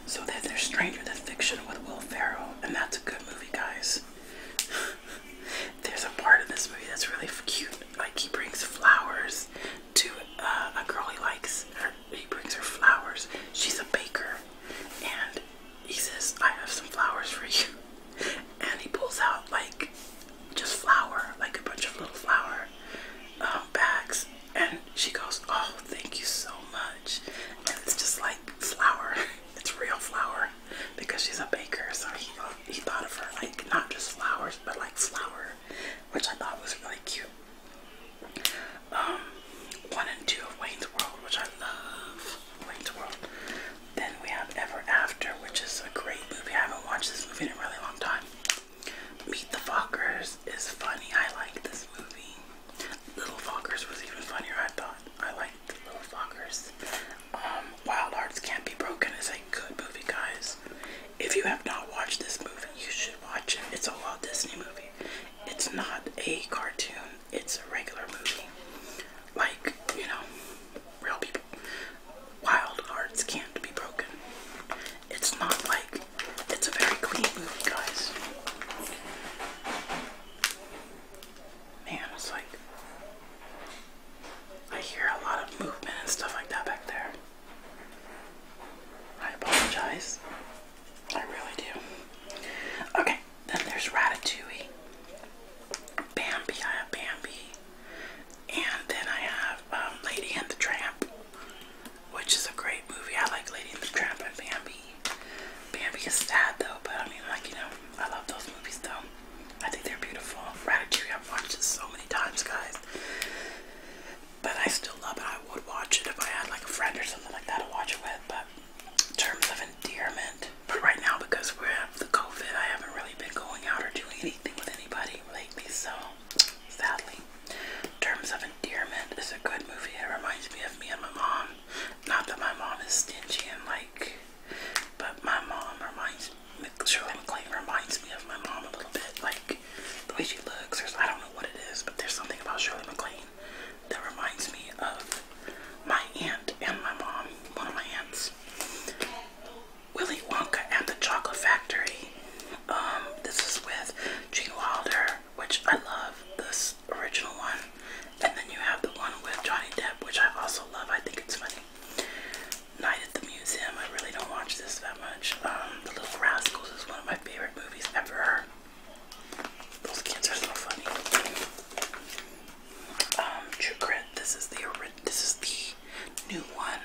So that they're Stranger Than Fiction with Will Ferrell, and that's a good movie, guys. There's a part of this movie that's really cute. Like he brings flowers to uh, a girl he likes. Her, he brings her flowers. She's a baker, and he says, "I have some flowers for you." And he pulls out like just flour, like a bunch of little flower um, bags, and she goes, "Oh, thank you so much." And it's just like flour. It's real flour because she's a baker, so he thought, he thought of her like not just flowers, but like flour, which I thought was really cute. Um, one and two of Wayne's World, which I love. Wayne's World. Then we have Ever After, which is a great movie. I haven't watched this movie in a really long time. Meet the Fockers is funny. I like this movie. Little Fockers was even funnier, I thought. I like the little fuckers. Um, Wild Hearts Can't Be Broken is a good movie, guys. If you have not watched this movie, you should watch it. It's a Walt Disney movie. It's not a cartoon. It's a regular movie. Like, you know, real people. Wild Hearts Can't Be Broken. It's not like, it's a very clean movie, guys man, it's like I hear a lot of movement and stuff like that back there. I apologize. I really do. Okay, then there's Ratatouille, Bambi. I have Bambi, and then I have um, Lady and the Tramp, which is a great movie. I like Lady and the Tramp and Bambi. Bambi is sad though, but I mean, like you know, I love those movies though. I think they're beautiful. Ratatouille, I've watched it so many times, guys. But I still love it. I would watch it if I had like a friend or something like that to watch it with. But in terms of endearment, but right now because we're at the COVID, I haven't really been going out or doing anything with anybody lately. So sadly, in terms of endearment, it's a good movie. It reminds me of me and my mom. Not that my mom is stingy and like but my mom reminds Shirley MacLaine reminds me of my mom a little bit. Like the way she looks, I don't know what it is, but there's something about Shirley MacLaine that reminds me of my aunt and my mom, one of my aunts. Willy Wonka at the Chocolate Factory. Um, this is with Gene Wilder, which I love this original one. And then you have the one with Johnny Depp, which I also love. I think it's funny. Night at the Museum. I really don't watch this that much. Um, the Little Rascals is one of my favorite movies ever. Those kids are so funny. Um, True Grit. This is the this is the new one.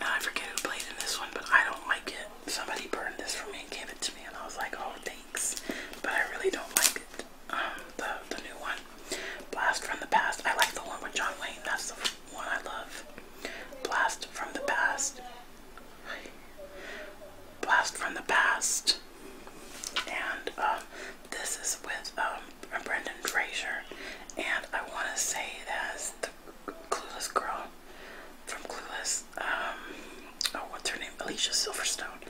I forget who played in this one, but I don't like it. Somebody burned this for me and gave it to me, and I was like, "Oh, thanks," but I really don't like it um, the the new one, Blast from the Past. I like the one with John Wayne. That's the one I love. Blast from the Past. Blast from the Past. And um, this is with um, Brendan Fraser, and I want to say it as the Clueless Girl from Clueless. Um, oh, what's her name? Alicia Silverstone.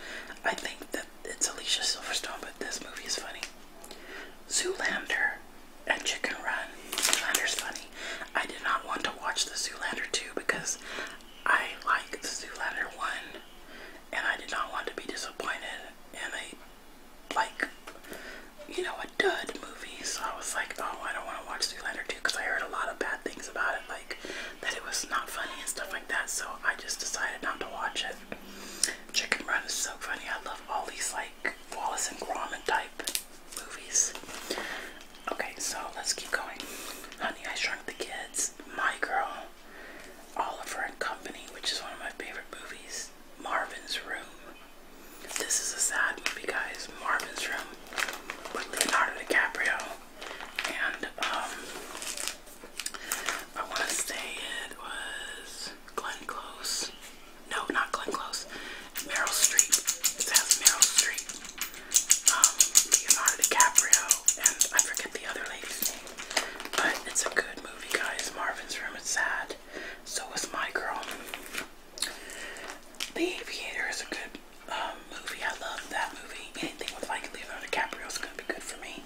I think that it's Alicia Silverstone, but this movie is funny. Zoolander and Chicken Run. Zoolander's funny. I did not want to watch the Zoolander 2 because I like the Zoolander 1 and I did not want to be disappointed in a, like, you know, a dud movie. So I was like, oh, I don't want to watch Zoolander 2 because I heard a lot of bad things about it, like that it was not funny and stuff like that. So I just decided not to watch it. Chicken Run is so funny. I love all these like Wallace and Gromit type movies. Okay, so let's keep going. Honey, I Shrunk the Kids, My Girl, Oliver and Company, which is one of my favorite movies, Marvin's Room. This is a sad movie, guys. Marvin's Room with Leonardo DiCaprio. And, um, I want to say it was Glenn Close. No, not Glenn Close. Meryl Streep. It has Meryl Streep. Um, Leonardo DiCaprio. And I forget the other lady's name. But it's a good movie, guys. Marvin's Room is sad. So is My Girl. The Aviator is a good um, movie. I love that movie. Anything with like Leonardo DiCaprio is going to be good for me.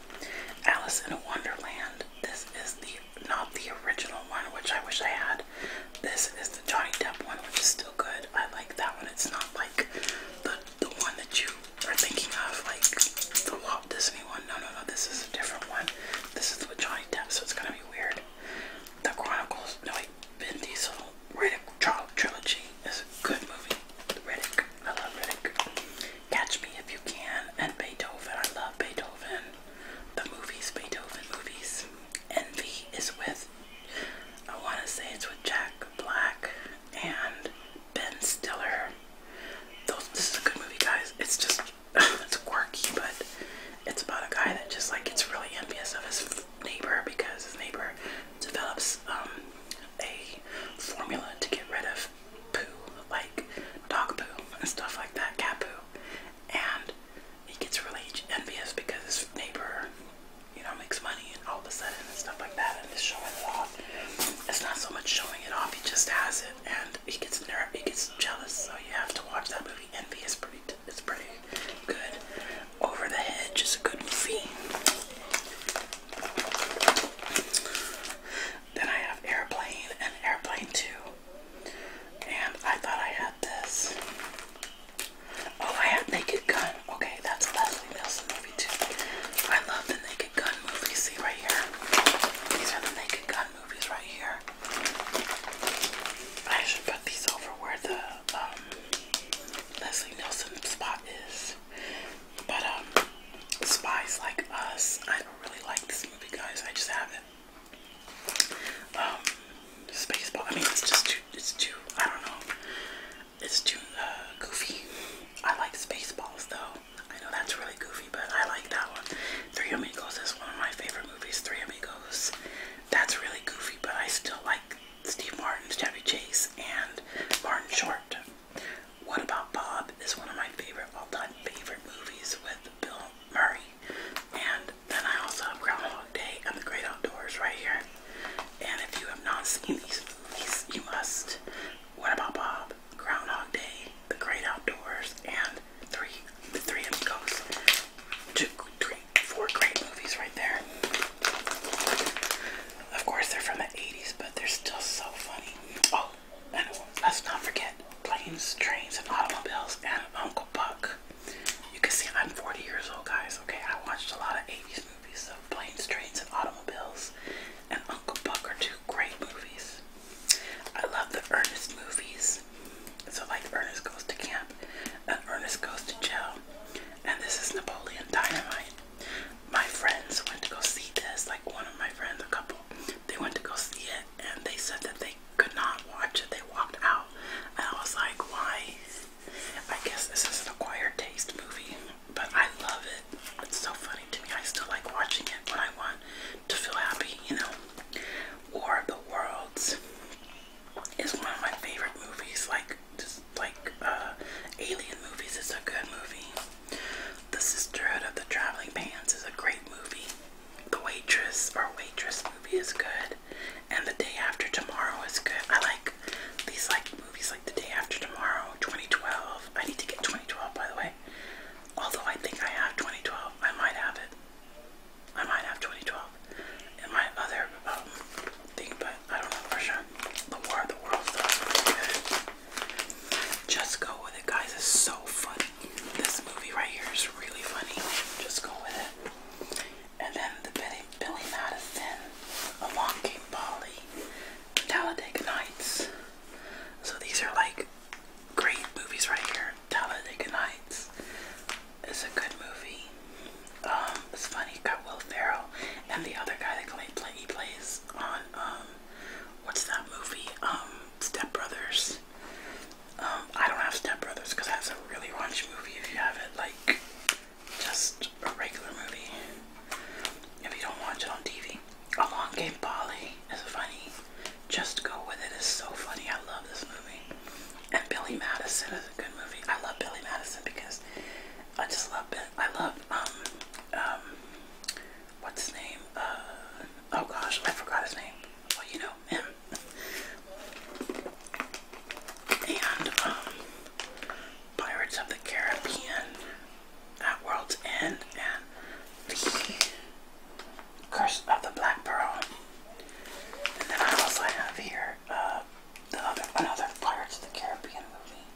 Alice in Wonderland. This is the not the original one, which I wish I had. This is the Johnny Depp one, which is still good. I like that one. It's not like the the one that you are thinking of, like the Walt Disney one. No, no, no. This is a different one. This is with Johnny Depp, so it's gonna be weird. The Chronicles, no, like Vin Diesel, Riddick trilogy is a good movie. Riddick, I love Riddick. Catch Me If You Can and Beethoven. I love Beethoven. The movies, Beethoven movies. Envy is with, I want to say it's with Jack Black and Ben Stiller. this is a good movie, guys. It's just, it's quirky, but it's about a guy that just like gets really envious of his neighbor because his neighbor develops um, a formula to get rid of poo, like dog poo and stuff like that, cat poo. And he gets really envious because his neighbor, you know, makes money and all of a sudden and stuff like that and is showing it off. It's not so much showing it off, he just has it and he gets nervous, he gets jealous. So you have to watch that movie. Envy is pretty, it's pretty good. Over the Hedge is a good movie. Then I have Airplane and Airplane 2. And I thought I had this. Oh, I have Naked Gun. Okay, that's Leslie Nielsen movie too. I love the Naked Gun movies. See right here. These are the Naked Gun movies right here. I should put these over where the um, Leslie Nielsen spot is. But um, spies like us, I never really liked this movie, guys. I just have it. Um, I mean, it's just too. It's too. I don't know. It's too uh, goofy. I like Spaceballs though. I know that's really goofy, but I like that one. Three Amigos is one of my favorite movies. Three Amigos. That's really goofy, but I still like Steve Martin's Chevy Chase and Martin Short. What About Bob is one of my favorite all-time favorite movies with Bill Murray. And then I also have Groundhog Day and The Great Outdoors right here. And if you have not seen these movies, you must. What about Bob? Groundhog Day, The Great Outdoors, and Three The Three Amigos. Two, three, four great movies right there. Of course, they're from the 80s, but they're still so funny. Oh, and let's not forget planes, trains, and automobiles, and Uncle Buck. You can see I'm 40 years old, guys. Okay, I watched a lot of 80s movies, of planes, trains, and automobiles, and Uncle Buck are two great movies. I love the Ernest movies. So, like Ernest Goes to Camp and Ernest Goes to Jail. And this is Napoleon Dynamite. My friends went to go see this. Like, one of my friends, a couple, they went to go see it and they said that they could not watch it. They walked out. And I was like, why? I guess this is an acquired taste movie, but I love it. It's so funny to me. I still like watching it when I want to feel happy, you know. War of the Worlds is one of my favorite movies, like just like uh Alien movies is a good movie. The Sisterhood of the Traveling Pants is a great movie. The Waitress or Waitress movie is good, and The Day After Tomorrow is good. I like these like movies like The Day After Tomorrow, 2012. I need to get 2012 by the way. Although I think I have 2012, I might have it. I might have 2012 And my other um, thing, but I don't know for sure. The War of the Worlds is good. Just go with it, guys. It's so funny. This movie right here is really funny. Just go with it. And then the Billy, Billy Madison, Along Came Polly, Talladega Nights. So these are like great movies right here. Talladega Nights is a good movie. Um, it's funny. got Will Ferrell and the other guy that play, play, he plays on um, what's that movie? Um, Step Brothers. Um, I don't have Step Brothers because that's a really raunchy movie. If you have it, like just a regular movie, if you don't watch it on TV, A Long Game Polly is funny. Just go with it. It's so funny. I love this movie. And Billy Madison is a good movie. I love Billy Madison because I just love it. I love um, um what's his name? Uh, oh gosh, I forgot his name well, you know, And, um, Pirates of the Caribbean at World's End and Curse of the Black Pearl. And then I also have here uh, the other, another Pirates of the Caribbean movie.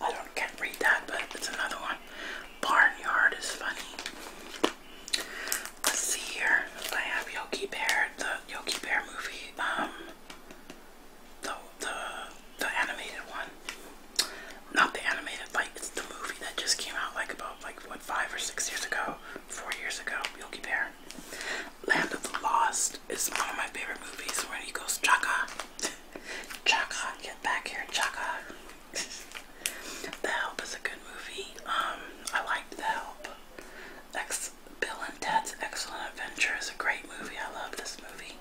I don't can't read that, but it's another one. Barnyard is funny. Let's see here. I have Yogi Bear, the Yogi Bear movie, um, the the the animated one. Not the animated, like it's the movie that just came out like about like what five or six years ago, four years ago, Yogi Bear. Land of the Lost is one of my favorite movies where he goes Chaka. Chaka, get back here, Chaka the Help is a good movie. Um, I liked The Help. Ex Bill and Ted's Excellent Adventure is a great movie. I love this movie.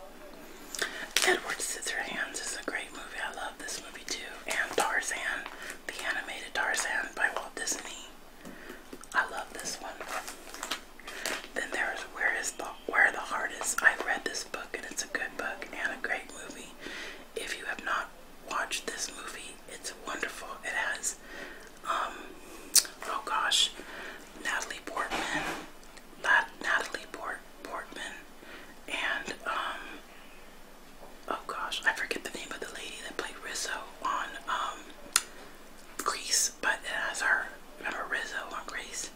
Edward Scissorhands is a great movie. I love this movie too. And Tarzan, the animated Tarzan by Walt Disney. I love this one. Then there's Where is the Where the Heart Is. I read this book and it's a good book and a great movie. If you have not watched this movie, it's wonderful. It has, um, oh gosh, Natalie Portman, Natalie Port Portman, and um, oh gosh, I forget the name of the lady that played Rizzo on um, Grease, but it has her. Remember Rizzo on Grease?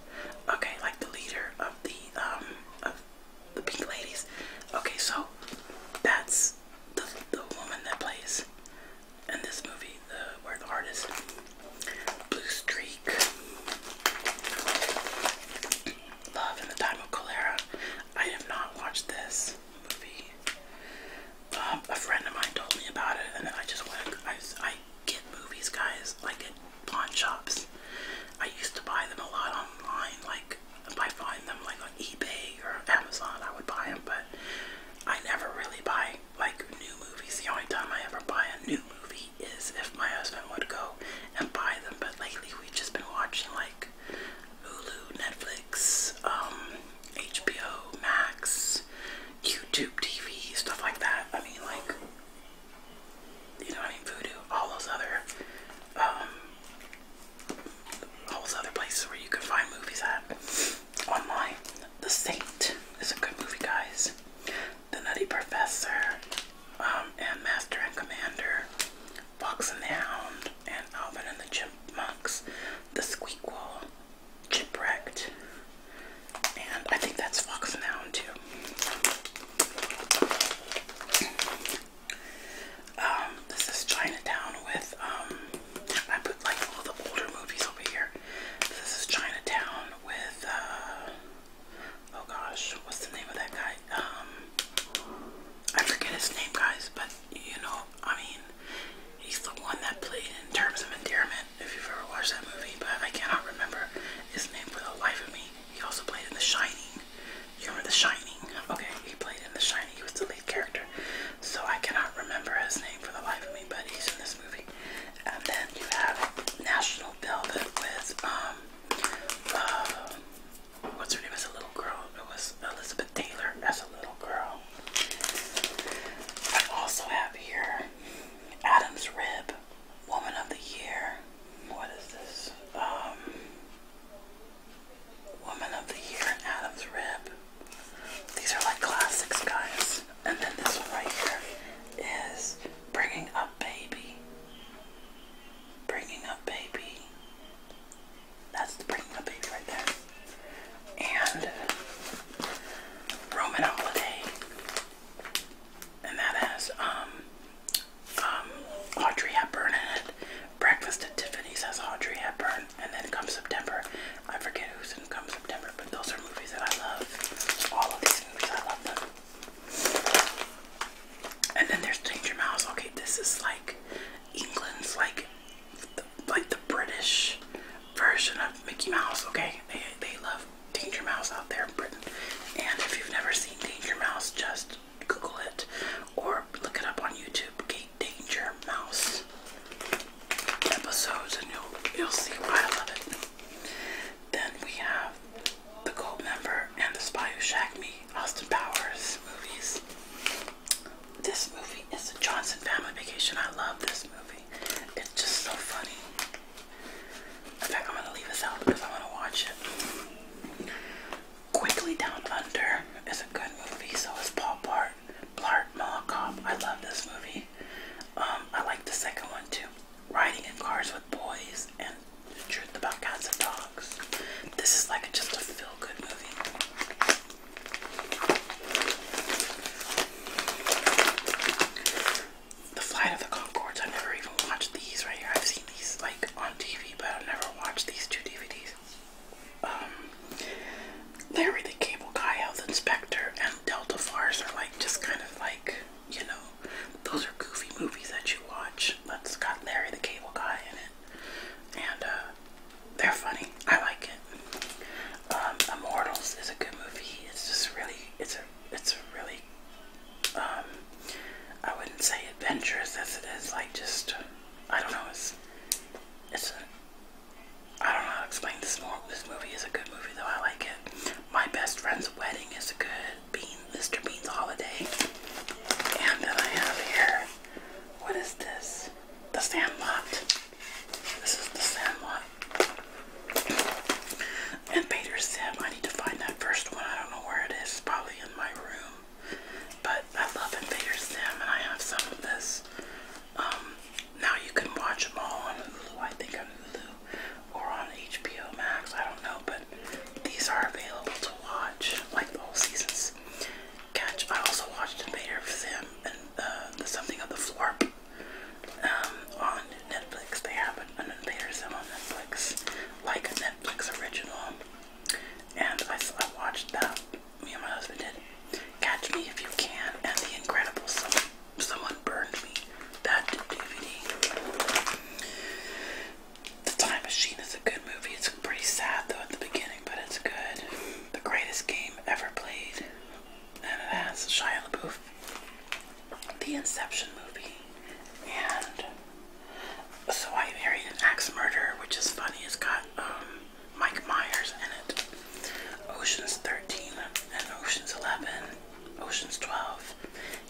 Okay, like the leader of the um, the pink ladies. Okay, so that's the, the woman that plays in this movie, the where the heart Blue Streak. Love in the Time of Cholera. I have not watched this movie. Um, a friend of mine told me about it, and then I just went. I, get movies, guys, I get pawn shops. I used to buy them a lot online, like like if I find them like on eBay or Amazon, I would buy them, but I never really buy like new movies. The only time I ever buy a new movie is if my husband would go and buy them, but lately we've just been watching like Hulu, Netflix, um, HBO, Max, YouTube TV, stuff like that. I mean, like, you know, I mean, Voodoo, all those other um, all those other places where you can find movies at online. The Saint is a good movie, guys. The Nutty Professor, um, and Master and Commander, Fox and the Hound, and Alvin and the Chipmunks, The Squeakquel, Chipwrecked, and I think that's Fox and the Hound too. Um, this is Chinatown with um, I put like all the older movies over here. This is Chinatown with uh, oh gosh, what's the name of that guy? Um, I forget his name guys, but you know, I mean he's the one that played in terms of endearment, if you've ever watched that movie, but I cannot remember his name for the life of me. He also played in The Shining. You remember The Shining? Okay, he played in The Shining. He was the lead character. So I cannot remember his name for the life of me, but he's in this movie. And then you have National Velvet with, um, uh, what's her name as a little girl? It was Elizabeth Taylor as a little girl. I also have here Adam's Rib, Woman of the Year. What is this? Um, Woman of the Year and Adam's Rib. These are like classics, guys. And then this one right here is Bringing Up Baby. Bringing Up Baby. That's Bringing Up Baby right there. And Roman Holiday. And that has um um, Audrey Hepburn in it. Breakfast at Tiffany's has Audrey Hepburn, and then Come September. I forget who's in Come September, but those are movies that I love. All of these movies, I love them. And then there's Danger Mouse. Okay, this is like England's like like the British version of Mickey Mouse. Okay, they they love Danger Mouse out there in Britain. And if you've never seen Danger Mouse, just Google it or look it up on YouTube. Gate Danger Mouse episodes, and you'll you'll see why I love it. Then we have the Gold Member and the Spy Who Shagged Me, Austin Powers movies. This movie is the Johnson Family Vacation. I love this movie. It's just so funny. In fact, I'm gonna leave this out because I want to watch it. Quickly Down Under is a good movie. So is Paul Blart, Blart Mall I love this movie. Um, I like the second one too. Riding in Cars with Boys and The Truth About Cats and Dogs. This is like just a feel-good movie. The Flight of the Concords. I never even watched these right I've seen these like on TV, but i never watched these two DVDs. Larry um, the Cable Guy, Health Inspector, and Delta Force are like just kind of like, you know, those are goofy movies that you watch. That's got Larry the Cable Guy in it. And uh, they're funny. I like it. Um, Immortals is a good movie. It's just really, it's a, it's a really, um, I wouldn't say adventurous as it is like just I don't know. It's it's a I don't know how to explain this more. This movie is a good movie though. I like it. My best friend's wedding is a good bean. Mr. Bean's holiday. And then I have here. What is this? The Sandlot. This is the Sandlot. And Pater Sim. I need to find that first one. I don't know where It's probably in my room. But I love Invaders Them, and I have some of this. Um, now you can watch them all on Hulu, I think on Hulu, or on HBO Max, I don't know, but these are available to watch, like the whole seasons. Catch, I also watched Invader Zim and uh, the Something on the Floor um, on Netflix. They have an, an Invader Zim on Netflix, like a Netflix original, and I, I watched that me and my husband did. Catch Me If You Can and The Incredible Someone, Burned Me. That DVD. The Time Machine is a good movie. It's pretty sad though at the beginning, but it's good. The greatest game ever played. And it has Shia LaBeouf. The Inception movie. And So I Married an Axe Murderer, which is funny. It's got um Mike Myers in it. Oceans 13 and Oceans 11, Oceans 12.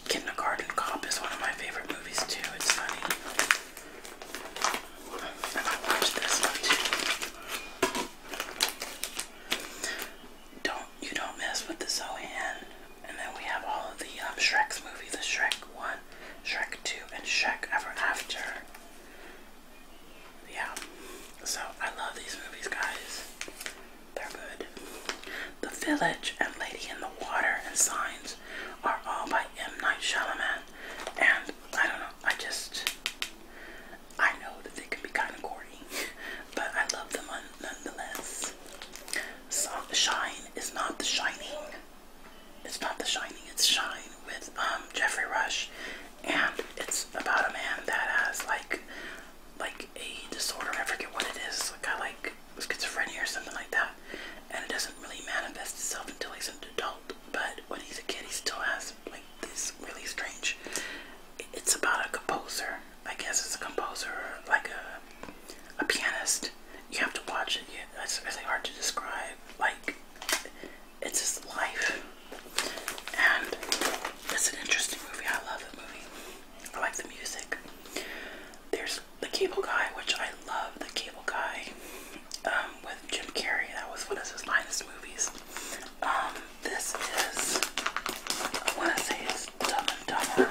Kindergarten Cop is one of my favorite movies too. It's funny. I watched this one too. Don't you don't mess with the Zohan. And then we have all of the um, Shrek's movies, the Shrek 1, Shrek 2, and Shrek Ever After yeah. So I love these movies, guys. They're good. The Village and Lady in the Water and Signs are all by M. Night Shyamalan, and I don't know. I just I know that they can be kind of corny, but I love them nonetheless. Shine is not The Shining it's not The Shining, it's Shine with um, Jeffrey Rush, and it's about a man that has like like a disorder. I forget what it is. Like I like schizophrenia or something like that, and it doesn't really manifest itself until he's an adult. But when he's a kid, he still has like this really strange. It's about a composer. I guess it's a composer, like a a pianist. You have to watch it. Yeah, it's really hard to describe. Like it's just life. And it's an interesting movie. I love the movie. I like the music. There's The Cable Guy, which I love. The Cable Guy um, with Jim Carrey. That was one of his finest movies. Um, this is, I want to say it's Dumb and Dumber.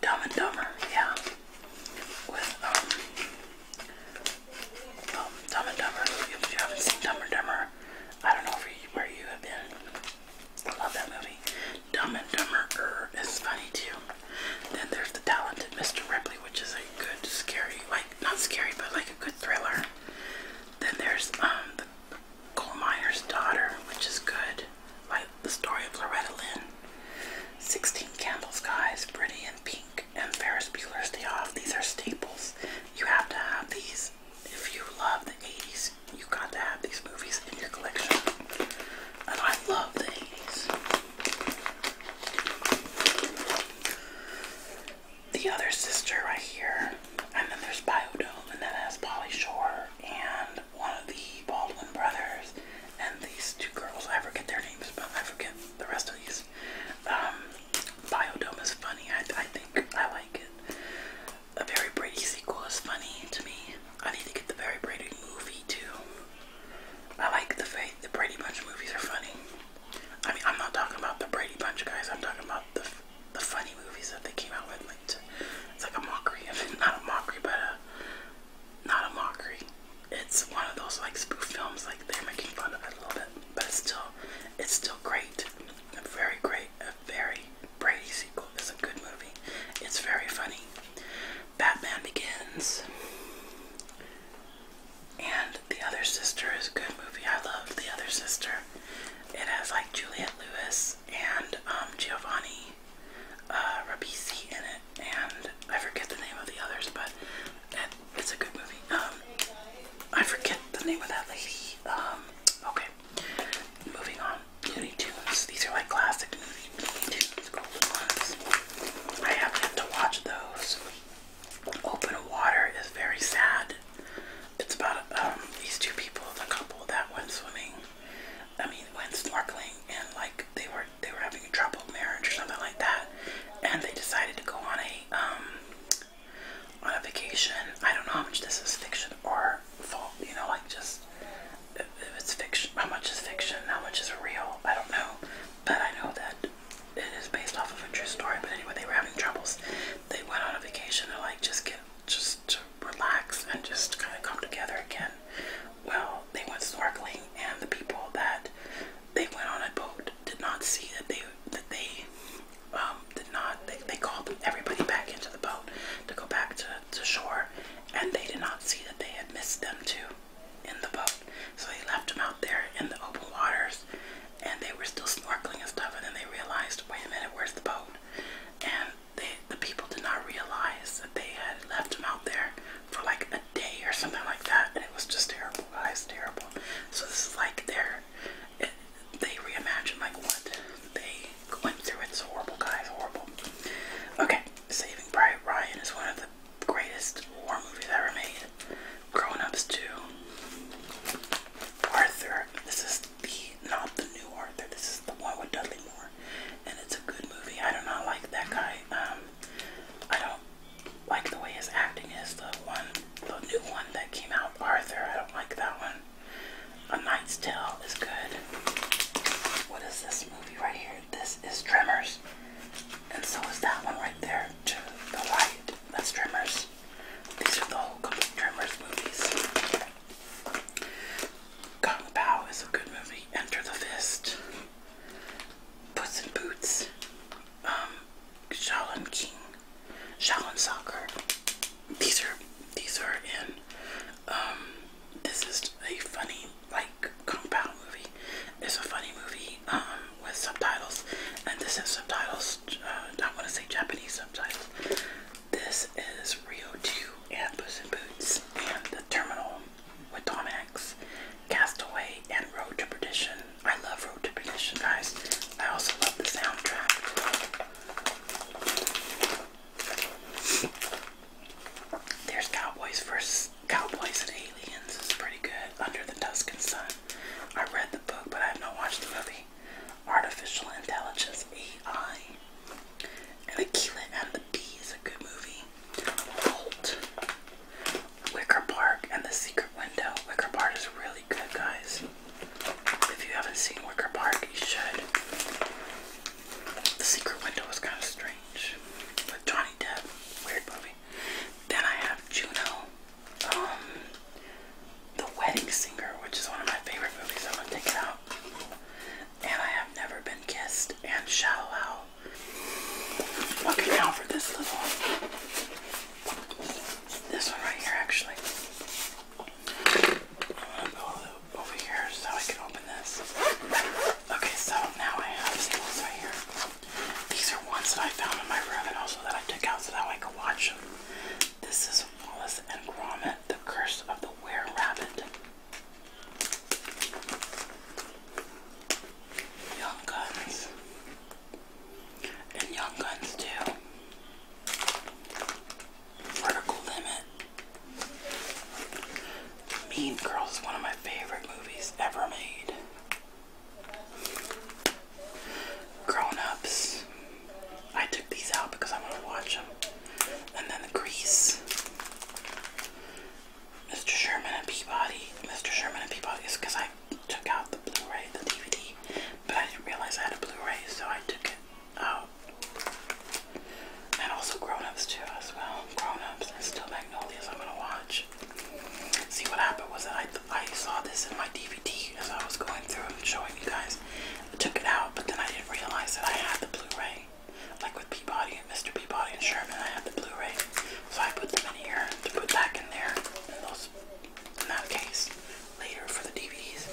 Dumb and Dumber, yeah. Um, um, Dumb and Dumber. If you haven't seen Dumb and Dumber, I don't know where you have been. love that movie. Dumb and Dumber er is funny too. Then there's The Talented Mr. Ripley, which is a good, scary, like, not scary, but like a good thriller. Then there's um, The Coal Miner's Daughter, which is good, like the story of Loretta Lynn. 16 candles, guys, pretty in pink, and Ferris Bueller's Day Off. These are staples. You have to have these. If you love the 80s, you got to have these movies in your collection. And I love the 80s. The other sister right here, and then there's Biodome, and then there's Polly Shore, and one of the Baldwin brothers, and these two girls. I forget their names, but I forget the rest of these um, is. is funny. I, think I like it. A Very Brady sequel is funny to me. I need to get the Very Brady movie too. I like the fact the Brady Bunch movies are funny. I mean, I'm not talking about the Brady Bunch guys. I'm talking about the the funny movies that they came out with. Like it's like a mockery of it. Not a mockery, but not a mockery. It's one of those like spoof films, like they're making fun of it a little bit, but still, it's still great. A very great, a very Brady sequel is a good movie. It's very funny. Batman Begins and The Other Sister is a good movie. I love The Other Sister. It has like Juliette Lewis and um, Giovanni uh, in it and I forget the name of the others, but it's a good movie. Um, I forget the name of that lady. Um, okay, moving on. Looney Tunes. These are like classic Looney Tunes, golden ones. I have to watch those. Open Water is very sad. It's about um, these two people, the couple that went swimming. I mean, went snorkeling, and like they were they were having a troubled marriage or something like that, and they decided to go on a um on a vacation. I don't know how much this is fiction or fault. You know, like just if it's fiction, how much is fiction, how much is real. I don't know, but I know that it is based off of a true story. But anyway, they were having troubles. They went on a vacation to like just get just to relax and just kind of come together again. Well, they went snorkeling, and the people that they went on a boat, did not see that they that they um, did not they, called everybody back into the boat to go back to, to shore and they did not see that they had missed them too in the boat. So they left them out there in the open waters and they were still snorkeling and stuff and then they realized, wait a minute, where's the boat? And they, the people did not realize that they had left them out there for like a day or something like that, and it was just terrible, guys, terrible. So this is like they it, they reimagine like what they went through. It's horrible, guys, horrible. Okay, Saving Private Ryan is one of the greatest war movies ever made. Grown Ups 2. Arthur. This is the not the new Arthur. This is the one with Dudley Moore, and it's a good movie. I do not like that guy. Um, I don't like the way his acting is. The one, the new one that came out, Arthur. I don't like that one. A Knight's Tale is good. What is this movie right here? This is Tremors, and so is that one right there to the right. That's Tremors. These are the whole complete Tremors movies. Kung Pao is a good movie. Enter the Fist. Puss in Boots um, Shaolin King, Shaolin Soccer. These are these are in. Um, this is a funny like Kung Pao movie. It's a funny movie um, with subtitles, and this is subtitles. Uh, I want to say Japanese subtitles. This is Rio 2 and Puss in Boots and The Terminal with Tom Hanks, Castaway and Road to Perdition. I love Road to Perdition, guys. I also love the soundtrack. There's Cowboys vs. Cowboys and Aliens. It's pretty good. Under the Tuscan Sun. I read the book, but I have not watched the movie. Artificial Intelligence, AI. And Aquila and the Bee is a good movie. Bolt. Wicker Park and the Secret Window. Wicker Park is really good, guys. If you haven't seen Wicker Park, you should. The Secret Window was kind of strange but Johnny Depp. Weird movie. Then I have Juno, um, The Wedding Singer, which is one of my favorite movies. I'm gonna take it out. And I have Never Been Kissed and Shallow Owl. Okay, now for this little this one right here, actually. I'm gonna go over here so I can open this. Okay, so now I have staples right here. These are ones that I found in my room and also that I took out so that I could watch them. This is Wallace and Gromit, The Curse of the Were Rabbit. Young Guns and Young Guns too. Vertical Limit. Mean Girls is one of my favorite movies ever made. Grown Ups. I took these out because I want to watch them. And then the Grease. Mr. Sherman and Peabody. Mr. Sherman and Peabody is because I took out the Blu-ray, the DVD, but I didn't realize I had a Blu-ray, so I took it out. And also grown-ups too as well. Grown-ups and still Magnolias I'm gonna watch. See what happened was that I, I saw this in my DVD as I was going through and showing you guys. I took it out, but then I didn't realize that I had the Blu-ray. Like with Peabody and Mr. Peabody and Sherman, I had the Blu-ray. So I put them in here to put back in there. And those videos. case, later for the DVDs,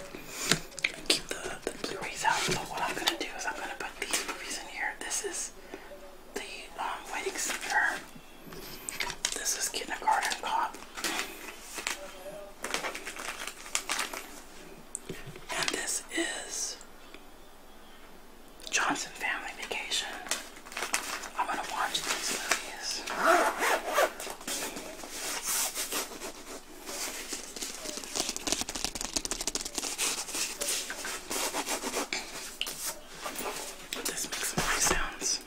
keep the, the Blu-rays out. So what I'm gonna do is I'm gonna put these movies in here. This is the um, Wedding Singer. This is Kindergarten Cop. And this is Johnson Family Vacation. I am going to watch these movies. This makes some sounds.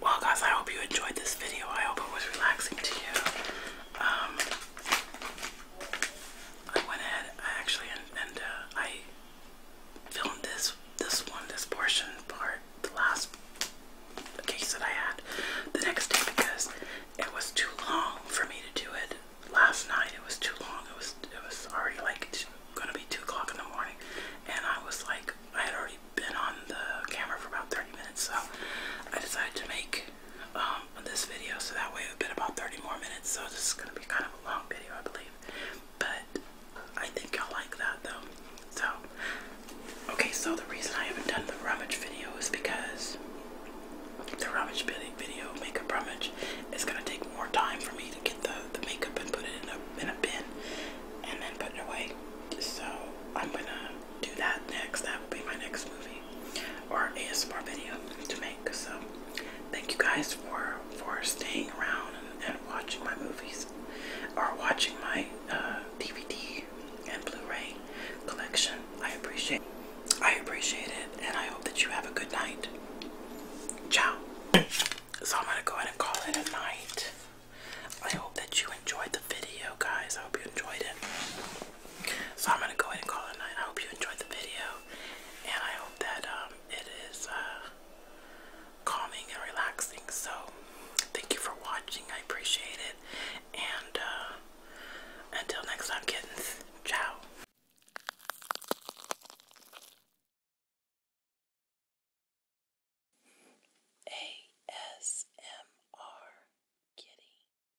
Well, guys, I hope you enjoyed this video. I hope it was relaxing to you. Um, I went ahead I actually and, uh, I filmed this this one this portion part the last case that I had the next day because it was too long for me to do it last night it was too long it was it was already like two, gonna be two o'clock in the morning and I was like I had already been on the camera for about 30 minutes so I decided to make um, on this video, so that way it'll be about 30 more minutes. So this is gonna be kind of a long video, I believe, but I think you will like that though. So, okay, so the reason I haven't done the rummage video is because the rummage video, makeup rummage, is gonna take more time for me to get the, the makeup and put it in a in a bin and then put it away. So I'm gonna do that next. That will be my next movie or ASMR video to make. So thank you guys for for staying around and, watching my movies or watching my DVD uh, and Blu-ray collection. I appreciate I appreciate it and I hope that you have a good night. Ciao. So I'm gonna go ahead and call it a night. I hope that you enjoyed the video guys. I hope you enjoyed it. So I'm gonna go ahead and call it night. I hope you enjoyed the video, and I hope that um, it is uh, calming and relaxing. So thank you for watching. I appreciate it, and uh, until next time, kittens. Ciao. ASMR Kitty.